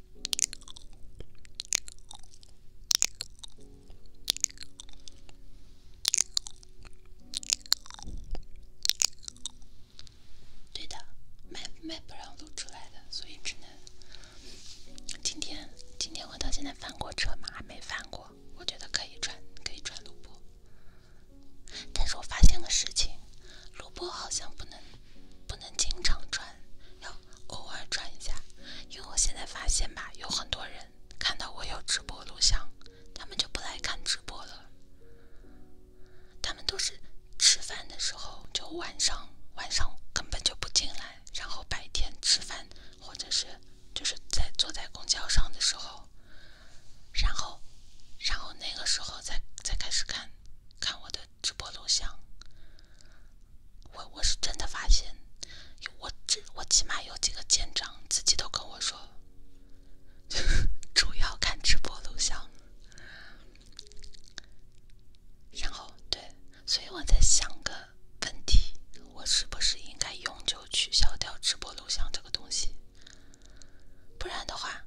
对的，卖卖不让露出来的，所以只能今天。今天我到现在翻过车嘛，还没翻过，我觉得可以转，可以转卢布。但是我发现个事情，卢布好像不能不能经常转。要偶尔转一下，因为我现在发现吧，有很多人看到我有直播录像，他们就不来看直播了。他们都是吃饭的时候，就晚上晚上根本就不进来，然后白天吃饭，或者是就是在坐在公交上的时候，然后，然后那个时候才才开始看。看我的直播录像，我我是真的发现，我这我起码有几个舰长自己都跟我说，主要看直播录像。然后对，所以我在想个问题，我是不是应该永久取消掉直播录像这个东西？不然的话。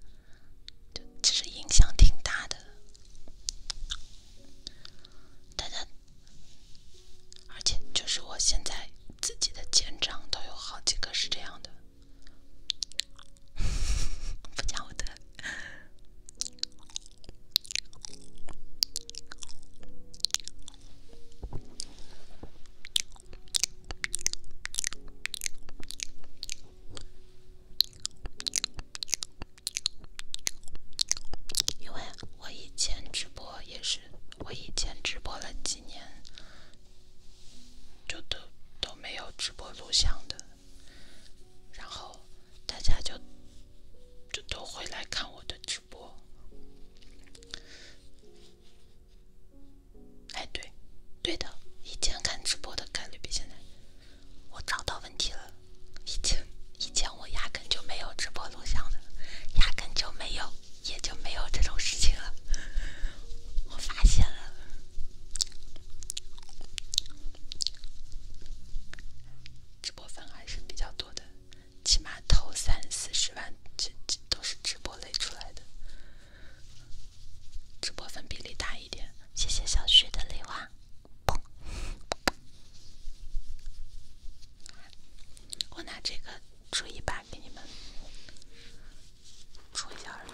就其实影响挺大的，大家，而且就是我现在自己的肩章都有好几个是这样的，不讲我的。因为我以前直播也是，我以前直播了几年，就都都没有直播录像的，然后大家就就都会来看我的直播。哎，对，对的，以前看直播的概率比现在。我找到问题了，以前以前我压根就没有直播录像的，压根就没有，也就没有这种事情了。我发现了，直播粉还是比较多的，起码投三四十万，这这都是直播累出来的，直播粉比例大一点。谢谢小旭的礼物。我拿这个吹一把给你们吹一下耳朵。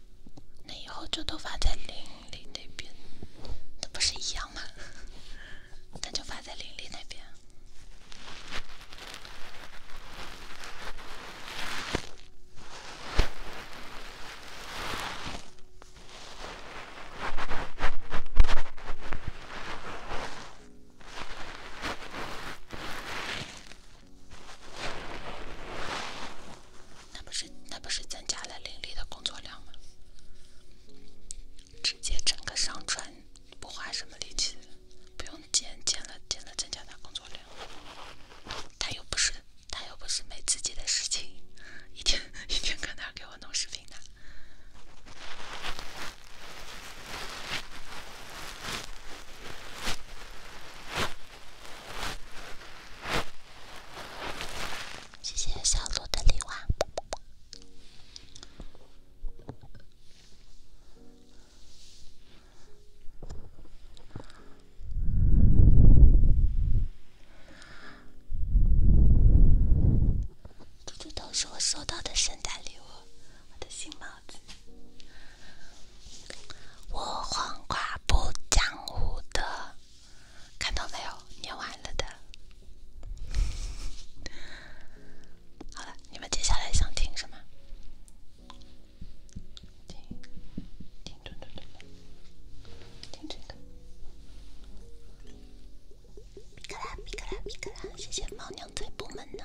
那以后就都发在林林那边，那不是一样吗？那就发在林林那边。那不是那不是增加了林立的工作量吗？直接整个上传不花什么力气，不用减减了减了增加他工作量。他又不是他又不是没自己的事情，一天一天搁那给我弄视频呢。谢谢小鹿的礼物，这都是我收到的圣诞礼物，我的新帽子。我黄瓜不讲武德，看到没有？念完了的。好了，你们接下来想听什么？听，听，蹲蹲蹲，听这个。米克拉，米克拉，米克拉，谢谢猫娘在部门呢。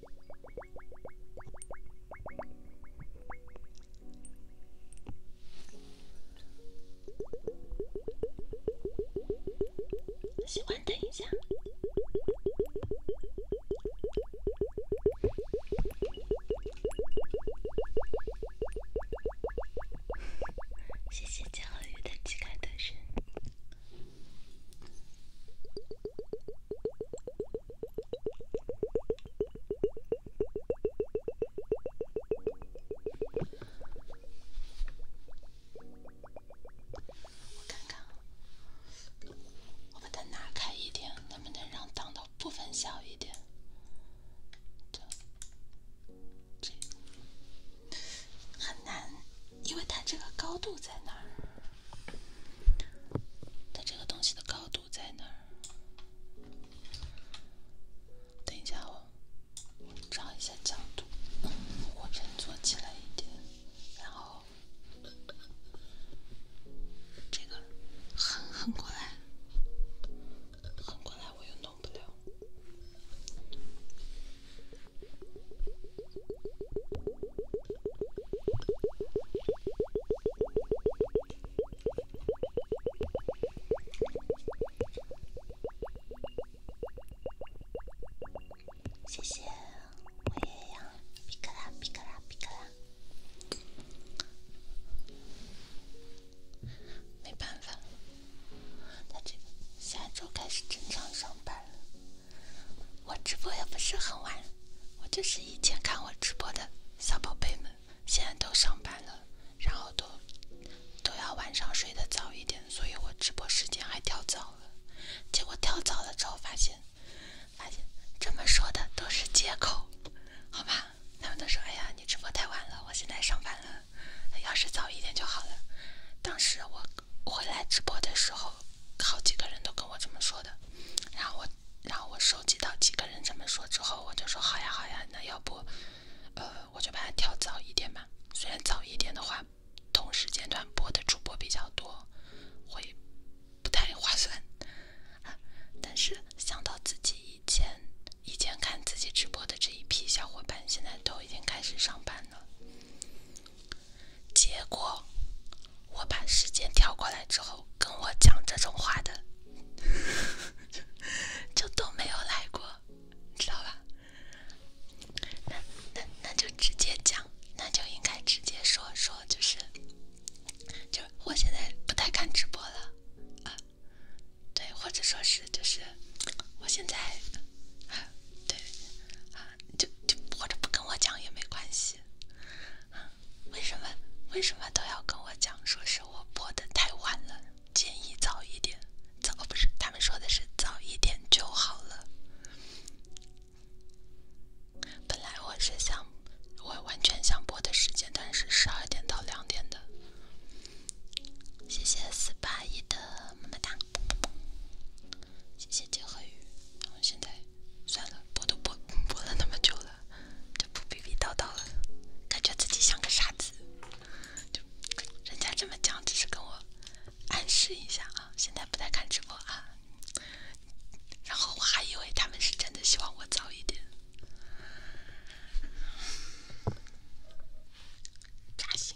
喜欢等一下，谢谢教育的机盖特神。我看看，我把它拿开一点，能不能让挡的部分小一点？这、这很难，因为它这个高度在那儿。它这个东西的高度在哪儿？等一下哦，找一下角度，我先坐起来一点，然后这个横横过来，横过来我又弄不了。谢谢，我也要皮卡皮卡皮卡没办法，他这个下周开始正常上班了。我直播也不是很晚，我就是以前看我直播的小宝贝们，现在都上班了，然后都都要晚上睡得早一点，所以我直播时间还调早了。结果调早了之后，发现发现这么说的都是借口，好吧？他们都说：“哎呀，你直播太晚了，我现在上班了，要是早一点就好了。”当时我回来直播的时候，好几个人都跟我这么说的，然后我。然后我收集到几个人这么说之后，我就说好呀好呀，那要不，呃，我就把它调早一点吧。虽然早一点的话，同时间段播的主播比较多，会不太划算，但是想到自己以前以前看自己直播的这一批小伙伴，现在都已经开始上班了，结果。我把时间调过来之后，跟我讲这种话的，就都没有来过，知道吧？那那那就直接讲，那就应该直接说说，就是，就我现在不太看直播了啊，对，或者说是就是，我现在，对，啊，就就或者不跟我讲也没关系。啊，为什么为什么都要跟我讲说是我播的太晚了，建议早一点。早不是他们说的是早一点就好了。本来我是想我完全想播的时间，但是十二点到两点的。谢谢四八一的么么哒，谢谢结合语。现在算了，播都播播了那么久了。就不逼逼叨叨了，感觉自己像个傻子。就人家这么讲，只是跟我暗示一下啊。现在不太看直播啊。然后我还以为他们是真的希望我早一点。扎心。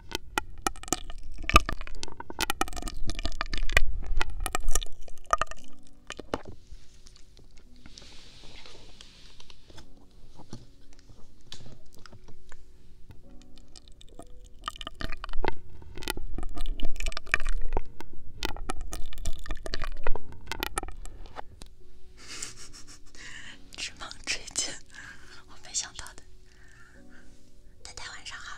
这猛追击，我没想到的。大家晚上好。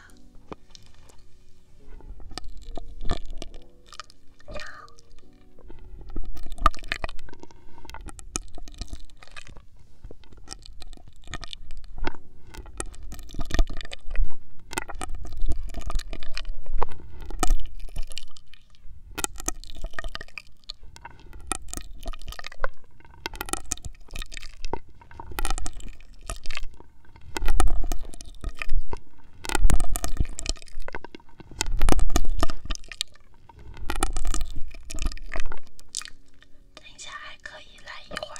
等一下还可以来一会儿。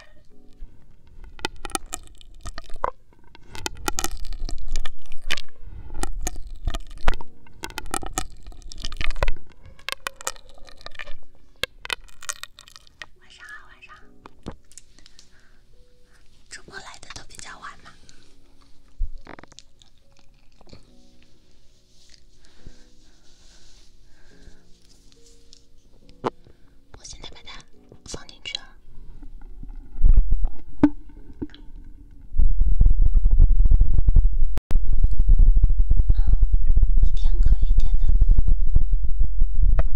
晚上好，晚上好。主播来的都比较晚嘛，我现在把它放进去了。好，一天可以点的。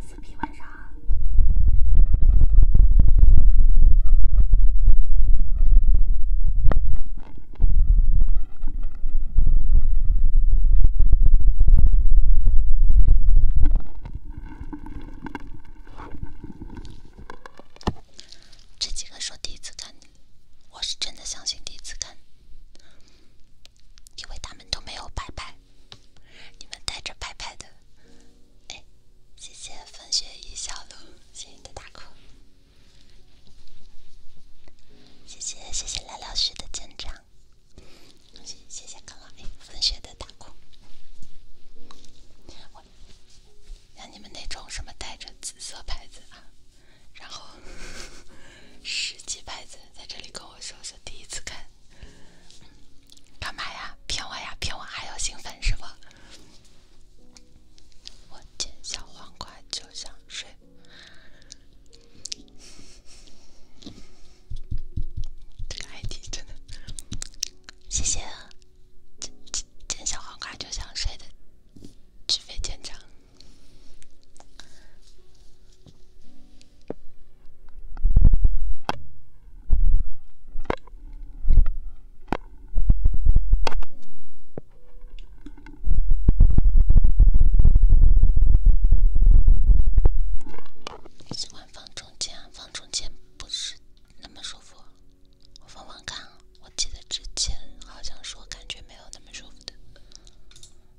四 P 晚上，这几个说第一次看，我是真的相信第一次看。因为他们都没有牌牌，你们带着牌牌的，哎，谢谢风雪一笑鹿，谢谢你的大哭，谢谢谢谢蓝老师的见长，谢谢谢谢刚了哎风雪的大哭，a 像你们那种什么带着紫色牌子啊。然后 十几拍子在这里跟我说是第一次看，干嘛呀？骗我呀？骗我还有兴奋是不？我见小黄瓜就想睡。这个 ID 真的，谢谢。啊，见见小黄瓜就想睡的。举飞见长，喜欢放中间，放中间不是那么舒服。我放放看，我记得之前好像说感觉没有那么舒服的。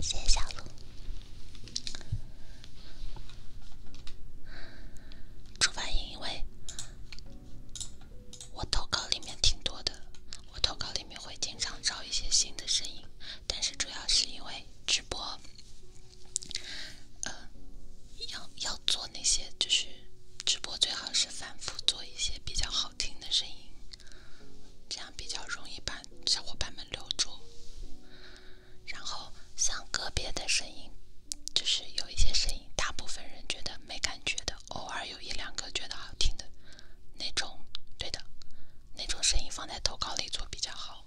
谢谢小鹿。主要因为，我投稿里面挺多的，我投稿里面会经常找一些新的声音，但是主要是因为直播，呃，要要做那些，就是直播最好是反复做一些比较好。好听的声音，这样比较容易把小伙伴们留住。然后像个别的声音，就是有一些声音，大部分人觉得没感觉的，偶尔有一两个觉得好听的，那种对的，那种声音放在投稿里做比较好。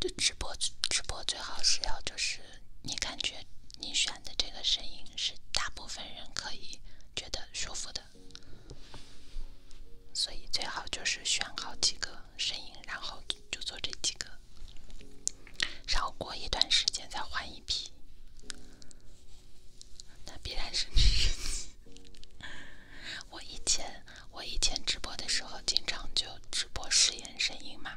就直播直播最好是要就是你感觉你选的这个声音是大部分人可以觉得舒服的。所以最好就是选好几个声音，然后就做这几个，然后过一段时间再换一批。那必然是我以前我以前直播的时候，经常就直播试验声音嘛。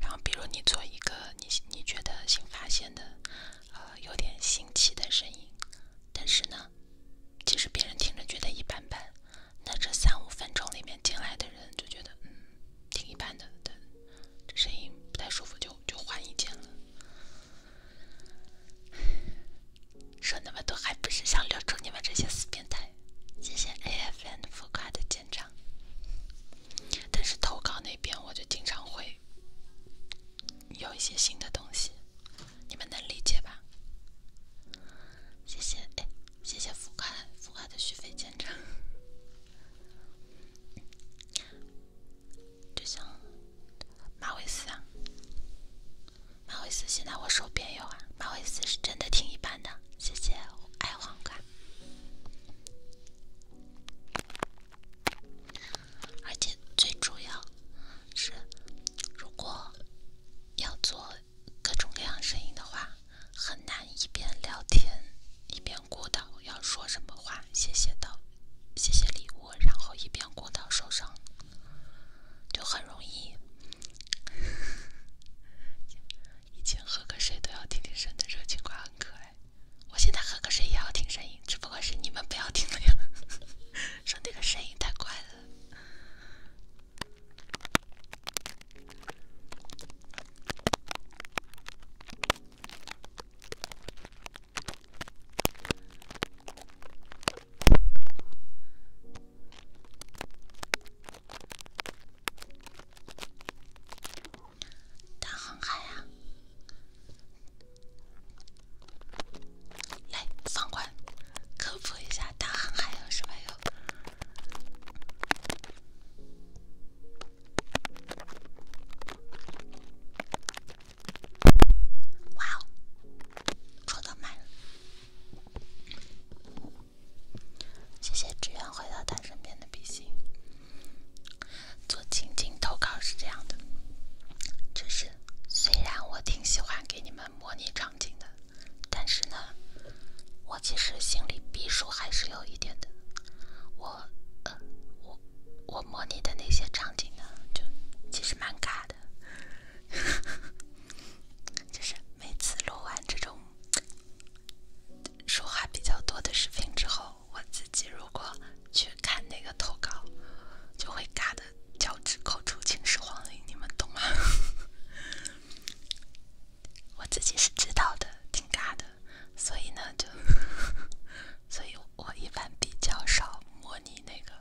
然后，比如你做一个你你觉得新发现的。呃，有点新奇的声音，但是呢，其实别人听着觉得一般般，那这三五分钟里面进来的人就觉得，嗯，挺一般的，这声音不太舒服，就就换一间了。说那么多还不是想留住你们这些死变态？谢谢 A F N 副卡的舰长，但是投稿那边我就经常会。有一些新的东西，你们能理解吧？谢谢，哎，谢谢浮夸，浮夸的续费见证。就像马尾丝啊，马尾丝现在我手边有啊，马尾丝是真的挺一般的。谢谢爱黄瓜。而且最主要，是如果要做各种各样声音的话，很难一边聊天一边过到要说什么话，谢谢到谢谢礼物，然后一边过到受伤，就很容易。以前喝个水都要听听声的热情况，很可爱。我现在喝个水也要听声音，只不过是你们不要听了呀，说那个声音太怪了。大航海呀，来，放宽科普一下大航海有什么用？哇哦，抽到满了！谢谢支援回到他身边的笔芯。做情景投稿是这样的，就是虽然我挺喜欢给你们模拟场景的，但是呢，我其实心里逼数还是有一点的。我，我，我模拟的那些场景呢，就其实蛮尬的。就是每次录完这种说话比较多的视频之后。我自己如果去看那个投稿，就会尬的脚趾抠出秦始皇陵，你们懂吗？我自己是知道的，挺尬的，所以呢，就，所以我一般比较少模拟那个，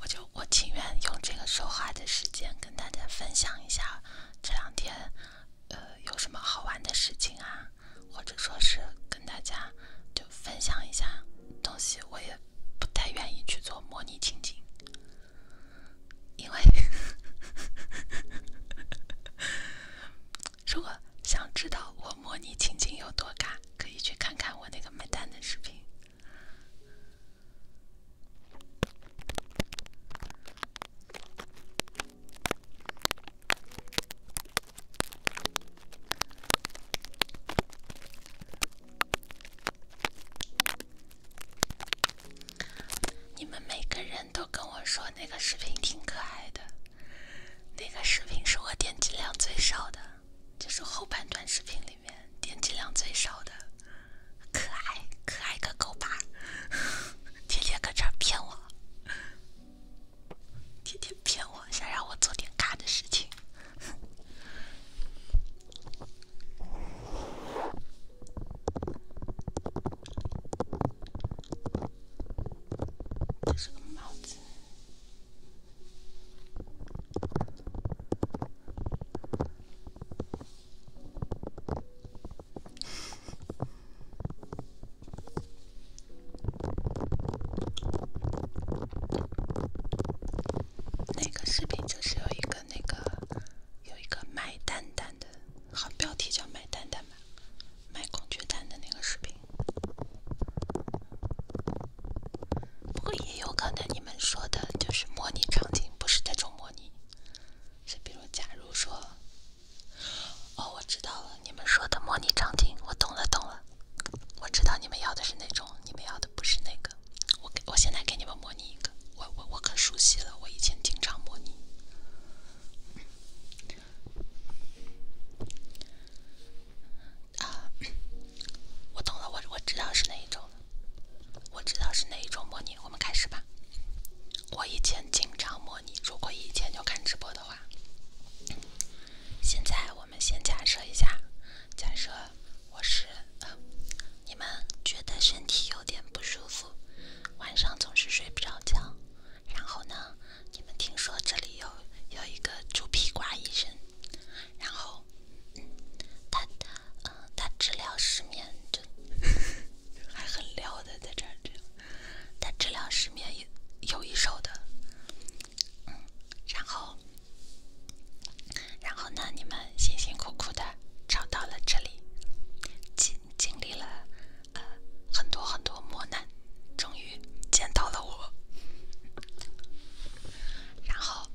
我就我情愿用这个说话的时间跟大家分享一下这两天。呃，有什么好玩的事情啊，或者说是跟大家就分享一下东西，我也不太愿意去做模拟情景，因为 如果想知道我模拟情景有多尬，可以去看看我那个买单的视频。你们每个人都跟我说那个视频挺可爱的，那个视频是我点击量最少的，就是后半段视频里面点击量最少的，可爱可爱个狗吧，天天搁这儿骗我。天天骗我，想让我做点尬的事情。这是个帽子。那个视频就是有一个那个有一个卖蛋蛋的，好标题叫卖蛋蛋吧，卖公爵蛋的那个视频。不过也有可能你们说的就是模拟场景，不是这种模拟，是比如假如说。哦，我知道了。你们说的模拟场景，我懂了，懂了。我知道你们要的是那种，你们要的不是那个。我我现在给你们模拟一个，我我我可熟悉了，我以前经常模拟。啊，我懂了，我我知道是哪一种了，我知道是哪一种模拟。我们开始吧。我以前经常模拟，如果以前就看直播的话。现在我们先假设一下，假设我是，你们觉得身体有点不舒服，晚上总是睡不着觉，然后呢，你们听说这里有有一个猪皮瓜医生，然后他，嗯，他治疗失眠就 还很撩的在这儿。但治疗失眠也有一手的，然后，然后呢？你们辛辛苦苦的找到了这里，经经历了呃很多很多磨难，终于见到了我。然后，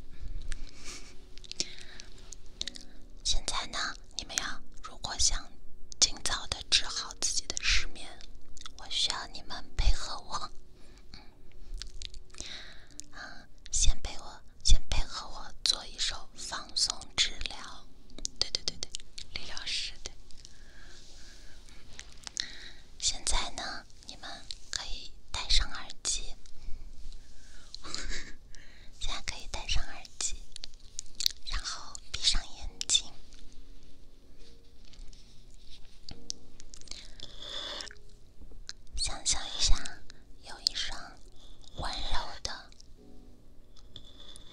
现在呢？你们要如果想尽早的。治好自己的失眠，我需要你们配合我。嗯，先陪我，先配合我做一首放松治疗。对对对对，理疗师对。现在呢，你们可以戴上耳机，现在可以戴上耳机，然后闭上眼睛。想象一下，有一双温柔的、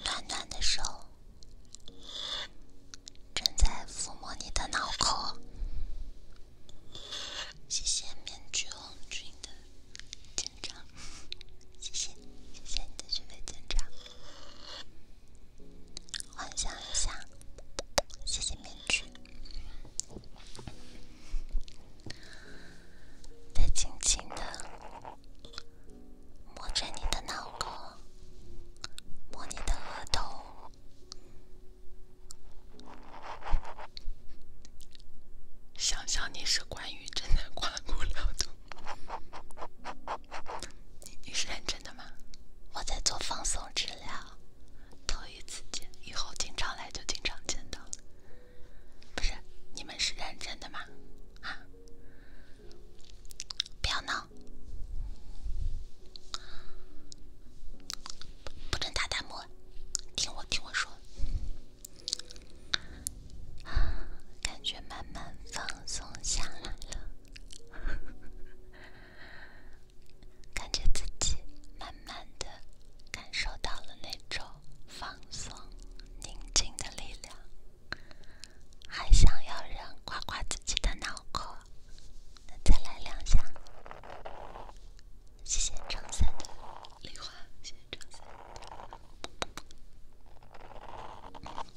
暖暖的手正在抚摸你的脑壳。谢谢面具红军的紧张，谢谢谢谢你的趣味紧张。幻想一下，谢谢面具，再轻轻的摸着你的脑壳，摸你的额头，想象你是关于真的刮骨疗毒。你是认真的吗？我在做放松治疗，头一次见，以后经常来就经常见到了。不是，你们是认真的吗？啊，不要闹，不准打弹幕，听我听我说。啊，感觉慢慢放松下来了。感觉自己慢慢的感受到了那种放松宁静的力量，还想要人刮刮自己的脑壳，那再来两下。谢谢张三的礼花，谢谢张三。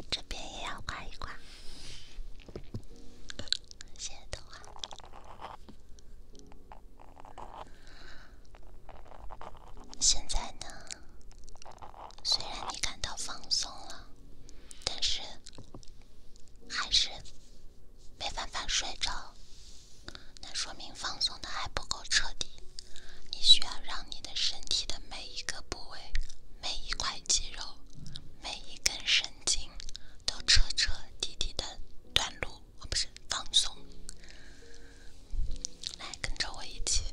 这边也要刮一刮。谢谢童话。现在呢，虽然你感到放松了，但是还是没办法睡着。那说明放松的还不够彻底，你需要让你的身体的每一个部位、每一块肌肉。每一根神经都彻彻底底的断路哦，不是放松，来跟着我一起。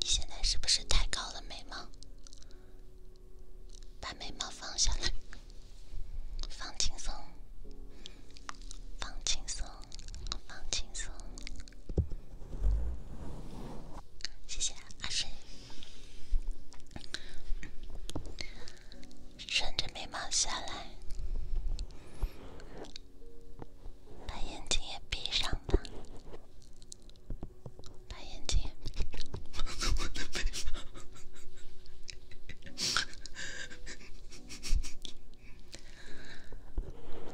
你现在是不是抬高了眉毛？把眉毛放下来，放轻松，放轻松，放轻松。谢谢阿水，顺着眉毛下来，把眼睛也闭上吧，把眼睛，也闭上，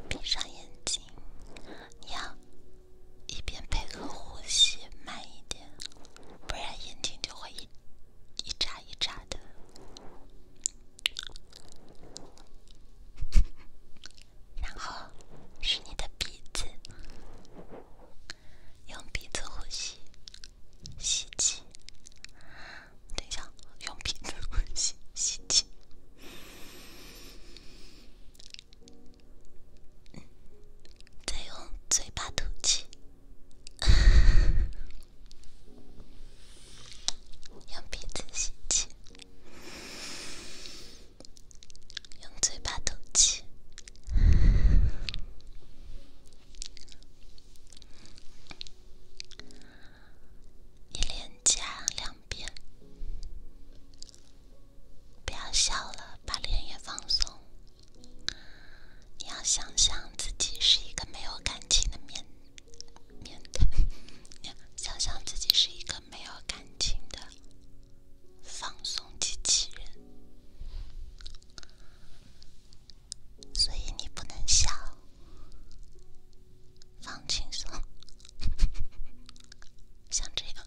闭上眼睛，要。一边配合呼吸，慢一点，不然眼睛就会一，一眨一眨的。然后是你的鼻子，用鼻子呼吸，吸气。等一下，用鼻子呼吸，吸气。再用嘴巴吐气，用鼻子吸气，用嘴巴吐气，一连讲两遍。不要笑了，把脸也放松。你要想象自己是一个没有感情的面面瘫，想象自己是一个没有感情的放松机器人，所以你不能笑，放轻松，像这样。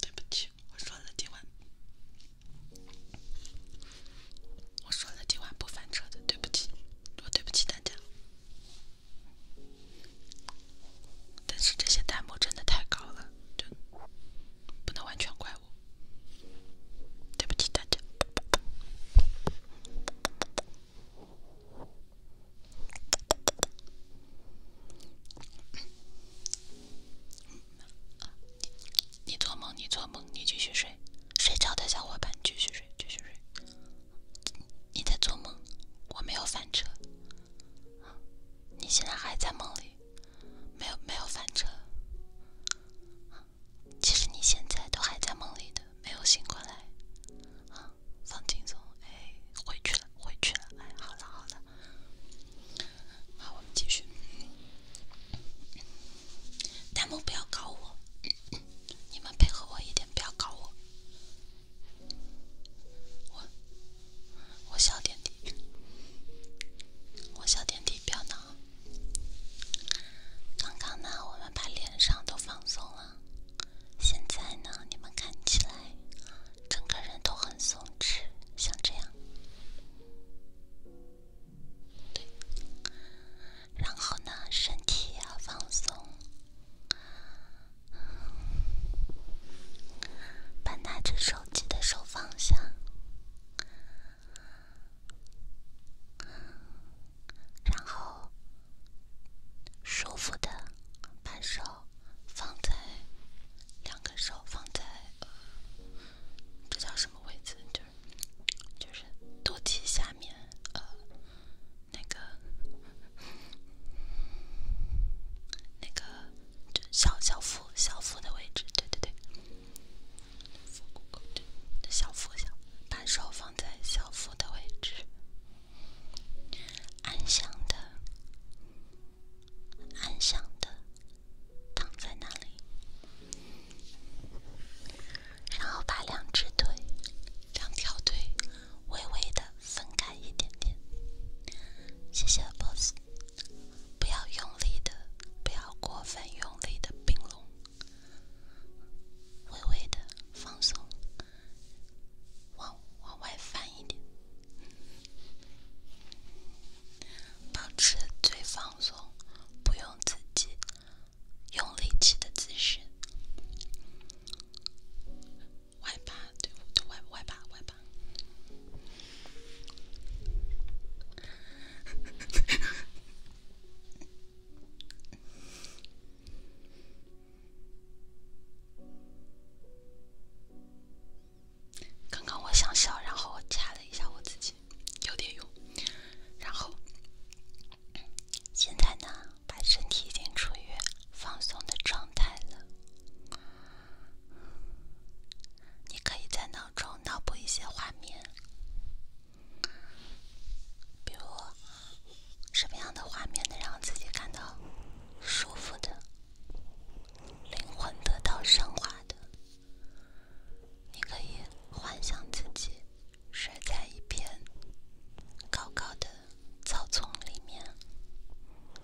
对不起，我说了今晚，我说了今晚不翻车的，对不起。我对不起大家，但是这些弹幕真的太高了，就不能完全怪我。对不起大家。你做梦，你做梦，你继续睡。睡着的小伙伴继续睡，继续睡。你在做梦，我没有翻车。你现在还在梦里，没有没有翻车。其实你现在都还在梦里的，没有醒过来。啊，放轻松，哎，回去了，回去了，哎，好了好了。好，我们继续。弹幕不要搞我。你们配合我一点，不要搞我。我我小点梯，我小点梯，不要闹。刚刚呢，我们把脸上都放松了，现在呢，你们看起来整个人都很松弛，像这样。然后呢，身体要放松，把拿着手机的手放下，然后舒服的把手放在两根手放在，这叫什么位置？就。就是肚脐下面，呃，那个，那个，小小腹、小腹的位置，对对对，小腹小，把手放在小腹的位置，安详的，安详的躺在那里。然后把两只腿、两条腿微微的分开一点点。谢谢 boss，不要用力的，不要过分用力的并拢，微微的放松，往往外翻一点，保持最放松，不用自己。用力气的姿势，歪吧，对，我读歪歪吧，歪吧。刚刚我想笑，然后我掐了一下我自己，有点用，然后。现在呢，把身体已经处于放松的状态了，你可以在脑中脑补一些画面，比如什么样的画面能让自己感到舒服的，灵魂得到升华的。你可以幻想自己睡在一片高高的草丛里面，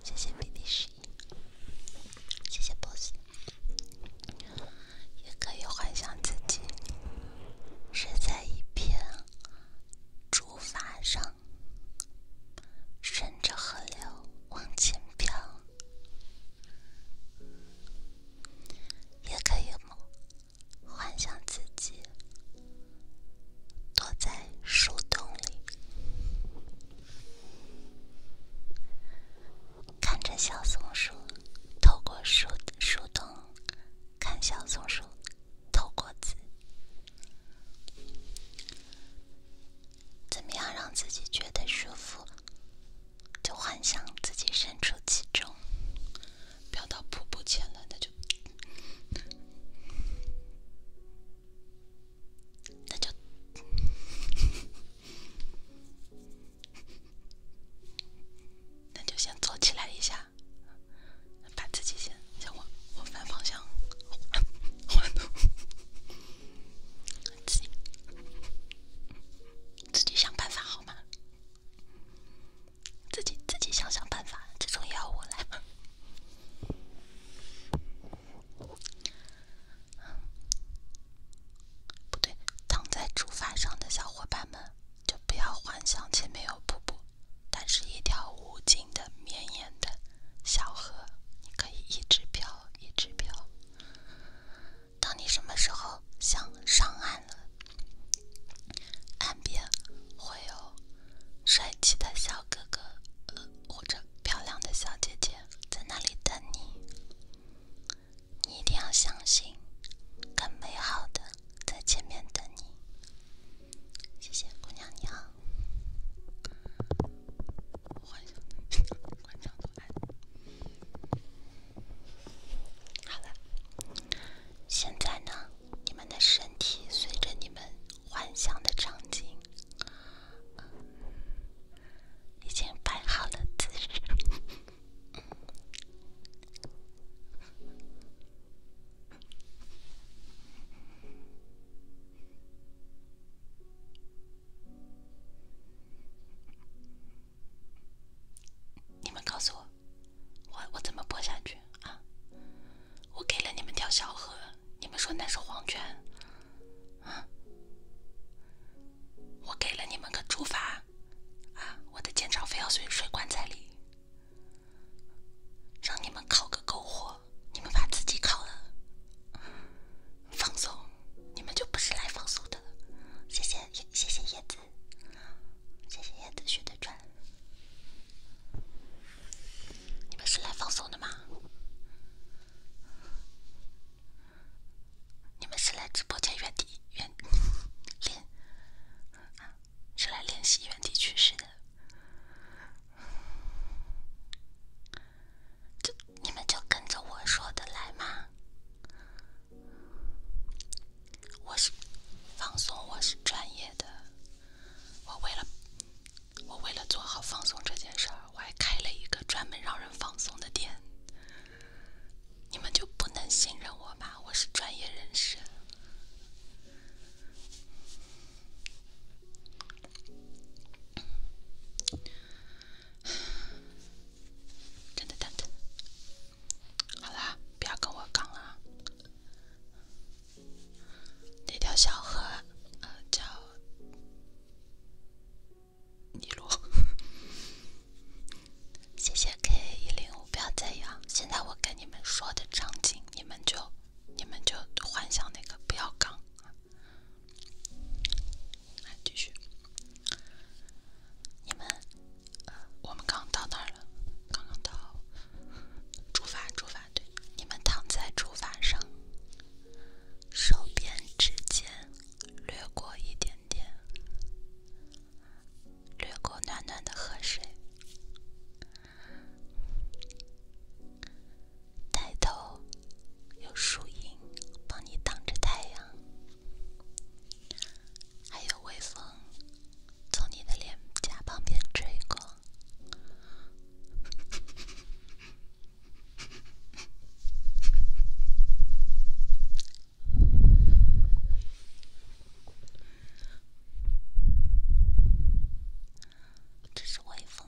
谢谢 BD 十一，谢谢 boss。也可以幻想自己睡在一片竹筏上，顺着河流往前漂，也可以么？幻想自己躲在树洞里，看着小松鼠透过树树洞看小松鼠透过子。怎么样让自己觉得舒服，就幻想自己身处其中。不要到瀑布前了，那就，那就，那就先坐起来一下，把自己先先往往反方向换，自己自己想办法好吗？自己自己想想办法，这种也要我来吗？不对，躺在竹筏上的小伙伴们，就不要幻想前面有瀑布，但是一条无尽的绵延的小河，你可以一直漂，一直漂。当你什么时候想上岸了？岸边会有帅气的小哥哥，呃，或者漂亮的小姐姐，在那里等你。你一定要相信，更美好的在前面等你。谢谢，姑娘娘。好了，现在呢，你们的身体随着你们幻想的场景，已经摆好了姿势。你们告诉我，我我怎么播下去啊？我给了你们条小河，你们说那是黄泉啊？我给了你们个竹筏啊？我的剑招非要随水棺在里，让你们烤个篝火，你们把自己烤了，放松，你们就不是来放松的。谢谢，谢谢叶子。谢谢叶子雪的转。你们是来放松的吗？你们是来直播间原地原练，是来练习原地去世的。就你们就跟着我说的来嘛。我是放松，我是专业的。我为了我为了做好放松这件事儿，我还开了一个专门让人放松的店。你们就不能信任我吗？我是专业人士。真的，真的。好啦，不要跟我杠了。那条小河，叫尼罗。谢谢 K 一零五，不要在意啊。现在我跟你们说的场景，你们就你们就幻想那个，不要杠。来，继续。你们。我们刚到那儿了，刚刚到竹筏，竹筏对，你们躺在竹筏上，手边指尖掠过一点点，掠过暖暖的河水，抬头有树荫帮你挡着太阳，还有微风。从你的脸颊旁边吹过，这是微风。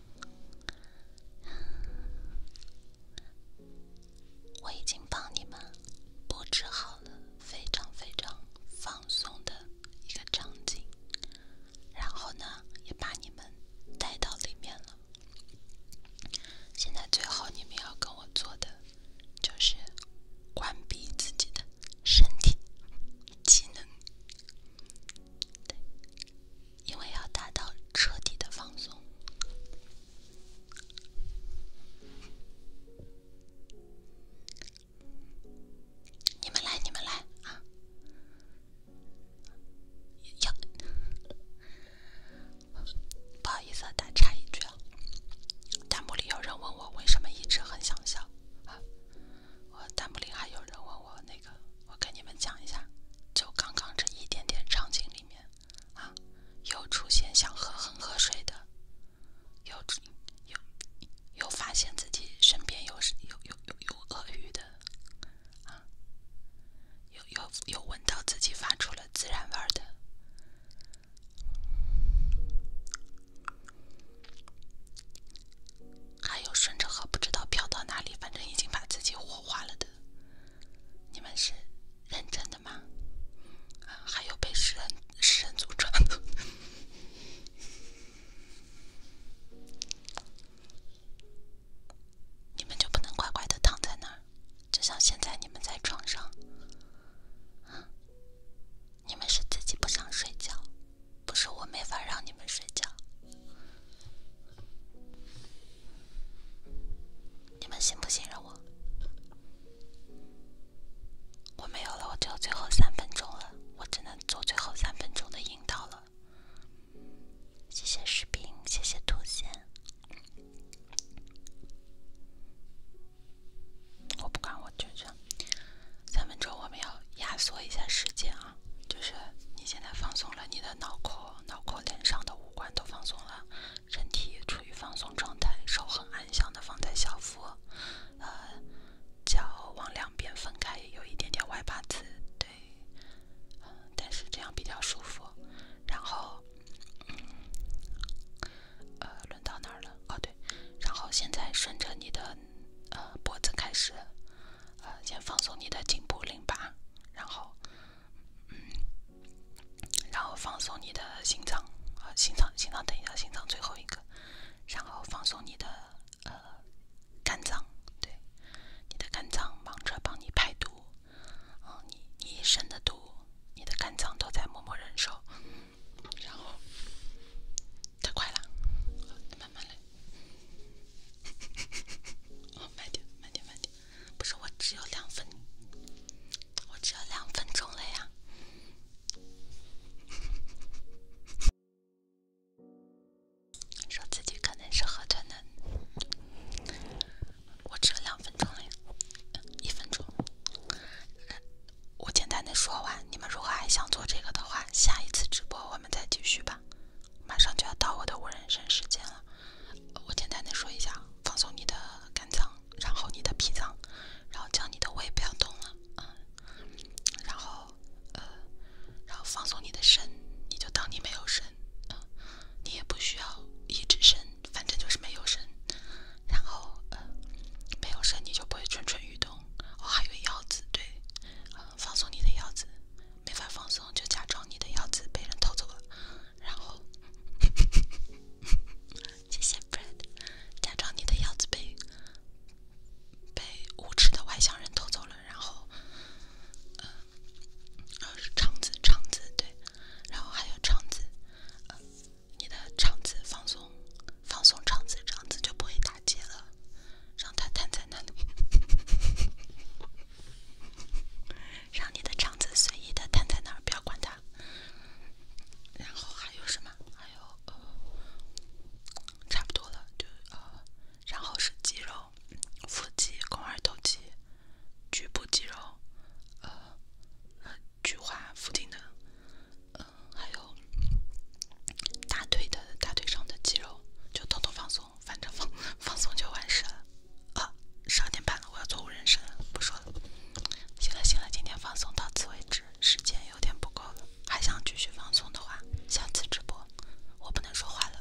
我已经帮你们布置好了非常非常放松的一个场景，然后呢，也把你们带到里面了。现在最后你们要跟我做的就是关闭自己的身体技能。对，因为要达到彻底的放松。你们来，你们来啊！呀，不好意思，啊，打岔一句啊，弹幕里有人问我为什么一直很想笑啊，我弹幕里还有人问我那。个，我跟你们讲一下，就刚刚这一点点场景里面，啊，有出现想喝恒河水的，有有有发现自己身边有有有有有鳄鱼的，啊，有有有闻到自己发出了孜然味儿的，还有顺着河不知道飘到哪里，反正已经把自己火化了的。你们是认真的吗？还有被世人世人传的，你们就不能乖乖的躺在那儿，就像现在你们在床上。你们是自己不想睡觉，不是我没法让你们睡觉。你们信不信任我？我没有了，我只有最后三分钟了，我只能做最后三分钟的引导了。谢谢视频，谢谢图片。我不管，我就这样。三分钟，我们要压缩一下时间啊。就是你现在放松了，你的脑壳、脑壳、脸上的五官都放松了，身体处于放松状态，手很安详的放在小腹，呃，脚往两边分开，有一点点外八字，对，呃、但是这样比较舒服。然后，嗯、呃，轮到哪儿了？哦，对，然后现在顺着你的呃脖子开始，呃，先放松你的颈部淋巴，然后。嗯，然后放松你的心脏，好，心脏，心脏，等一下，心脏最后一个，然后放松你的呃肝脏，对，你的肝脏忙着帮你排毒，啊，你你一身的毒，你的肝脏都在默默忍受，然后太快了，慢慢来，慢点，慢点，慢点。不是我只有两分，我只有两分钟了呀！说自己可能是喝醉的，我只有两分钟了，呀，一分钟。我简单的说完，你们如果还想做这个的话，下一次直播我们再继续吧。马上就要到我的无人生时间了，我简单的说一下：放松你的肝脏，然后你的脾脏，然后将你的胃不要动了嗯，然后呃，然后放松你的肾，你就当你没有肾嗯，你也不需要一直身，反正就是没有身，然后呃，没有身你就不会蠢蠢欲动。哦，还有腰子，对，嗯，放松你的腰子。没法放松，就假装你的腰子被人偷走了，然后，谢谢 Fred，假装你的腰子被被无耻的外乡人偷走了，然后，呃，呃，肠子，肠子，对，然后还有肠子，你的肠子放松，放松肠子，肠子就不会打结了，让它瘫在那里。让你的肠子随意的瘫在那儿，不要管它。然后还有什么？还有，呃，差不多了，就呃，然后是肌肉、腹肌、肱二头肌、局部肌肉，呃，菊花附近的，呃，还有大腿的大腿上的肌肉，就通通放松。反正放 放松就完事了啊！十二点半了，我要做无人声了，不说了。行了行了，今天放松到此为止，时间有点不够了。还想继续放松的话，下次直播我不能说话了。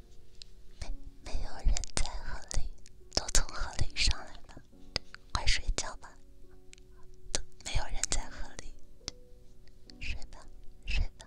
没没有人在河里，都从河里上来了。快睡觉吧，都没有人在河里，睡吧，睡吧。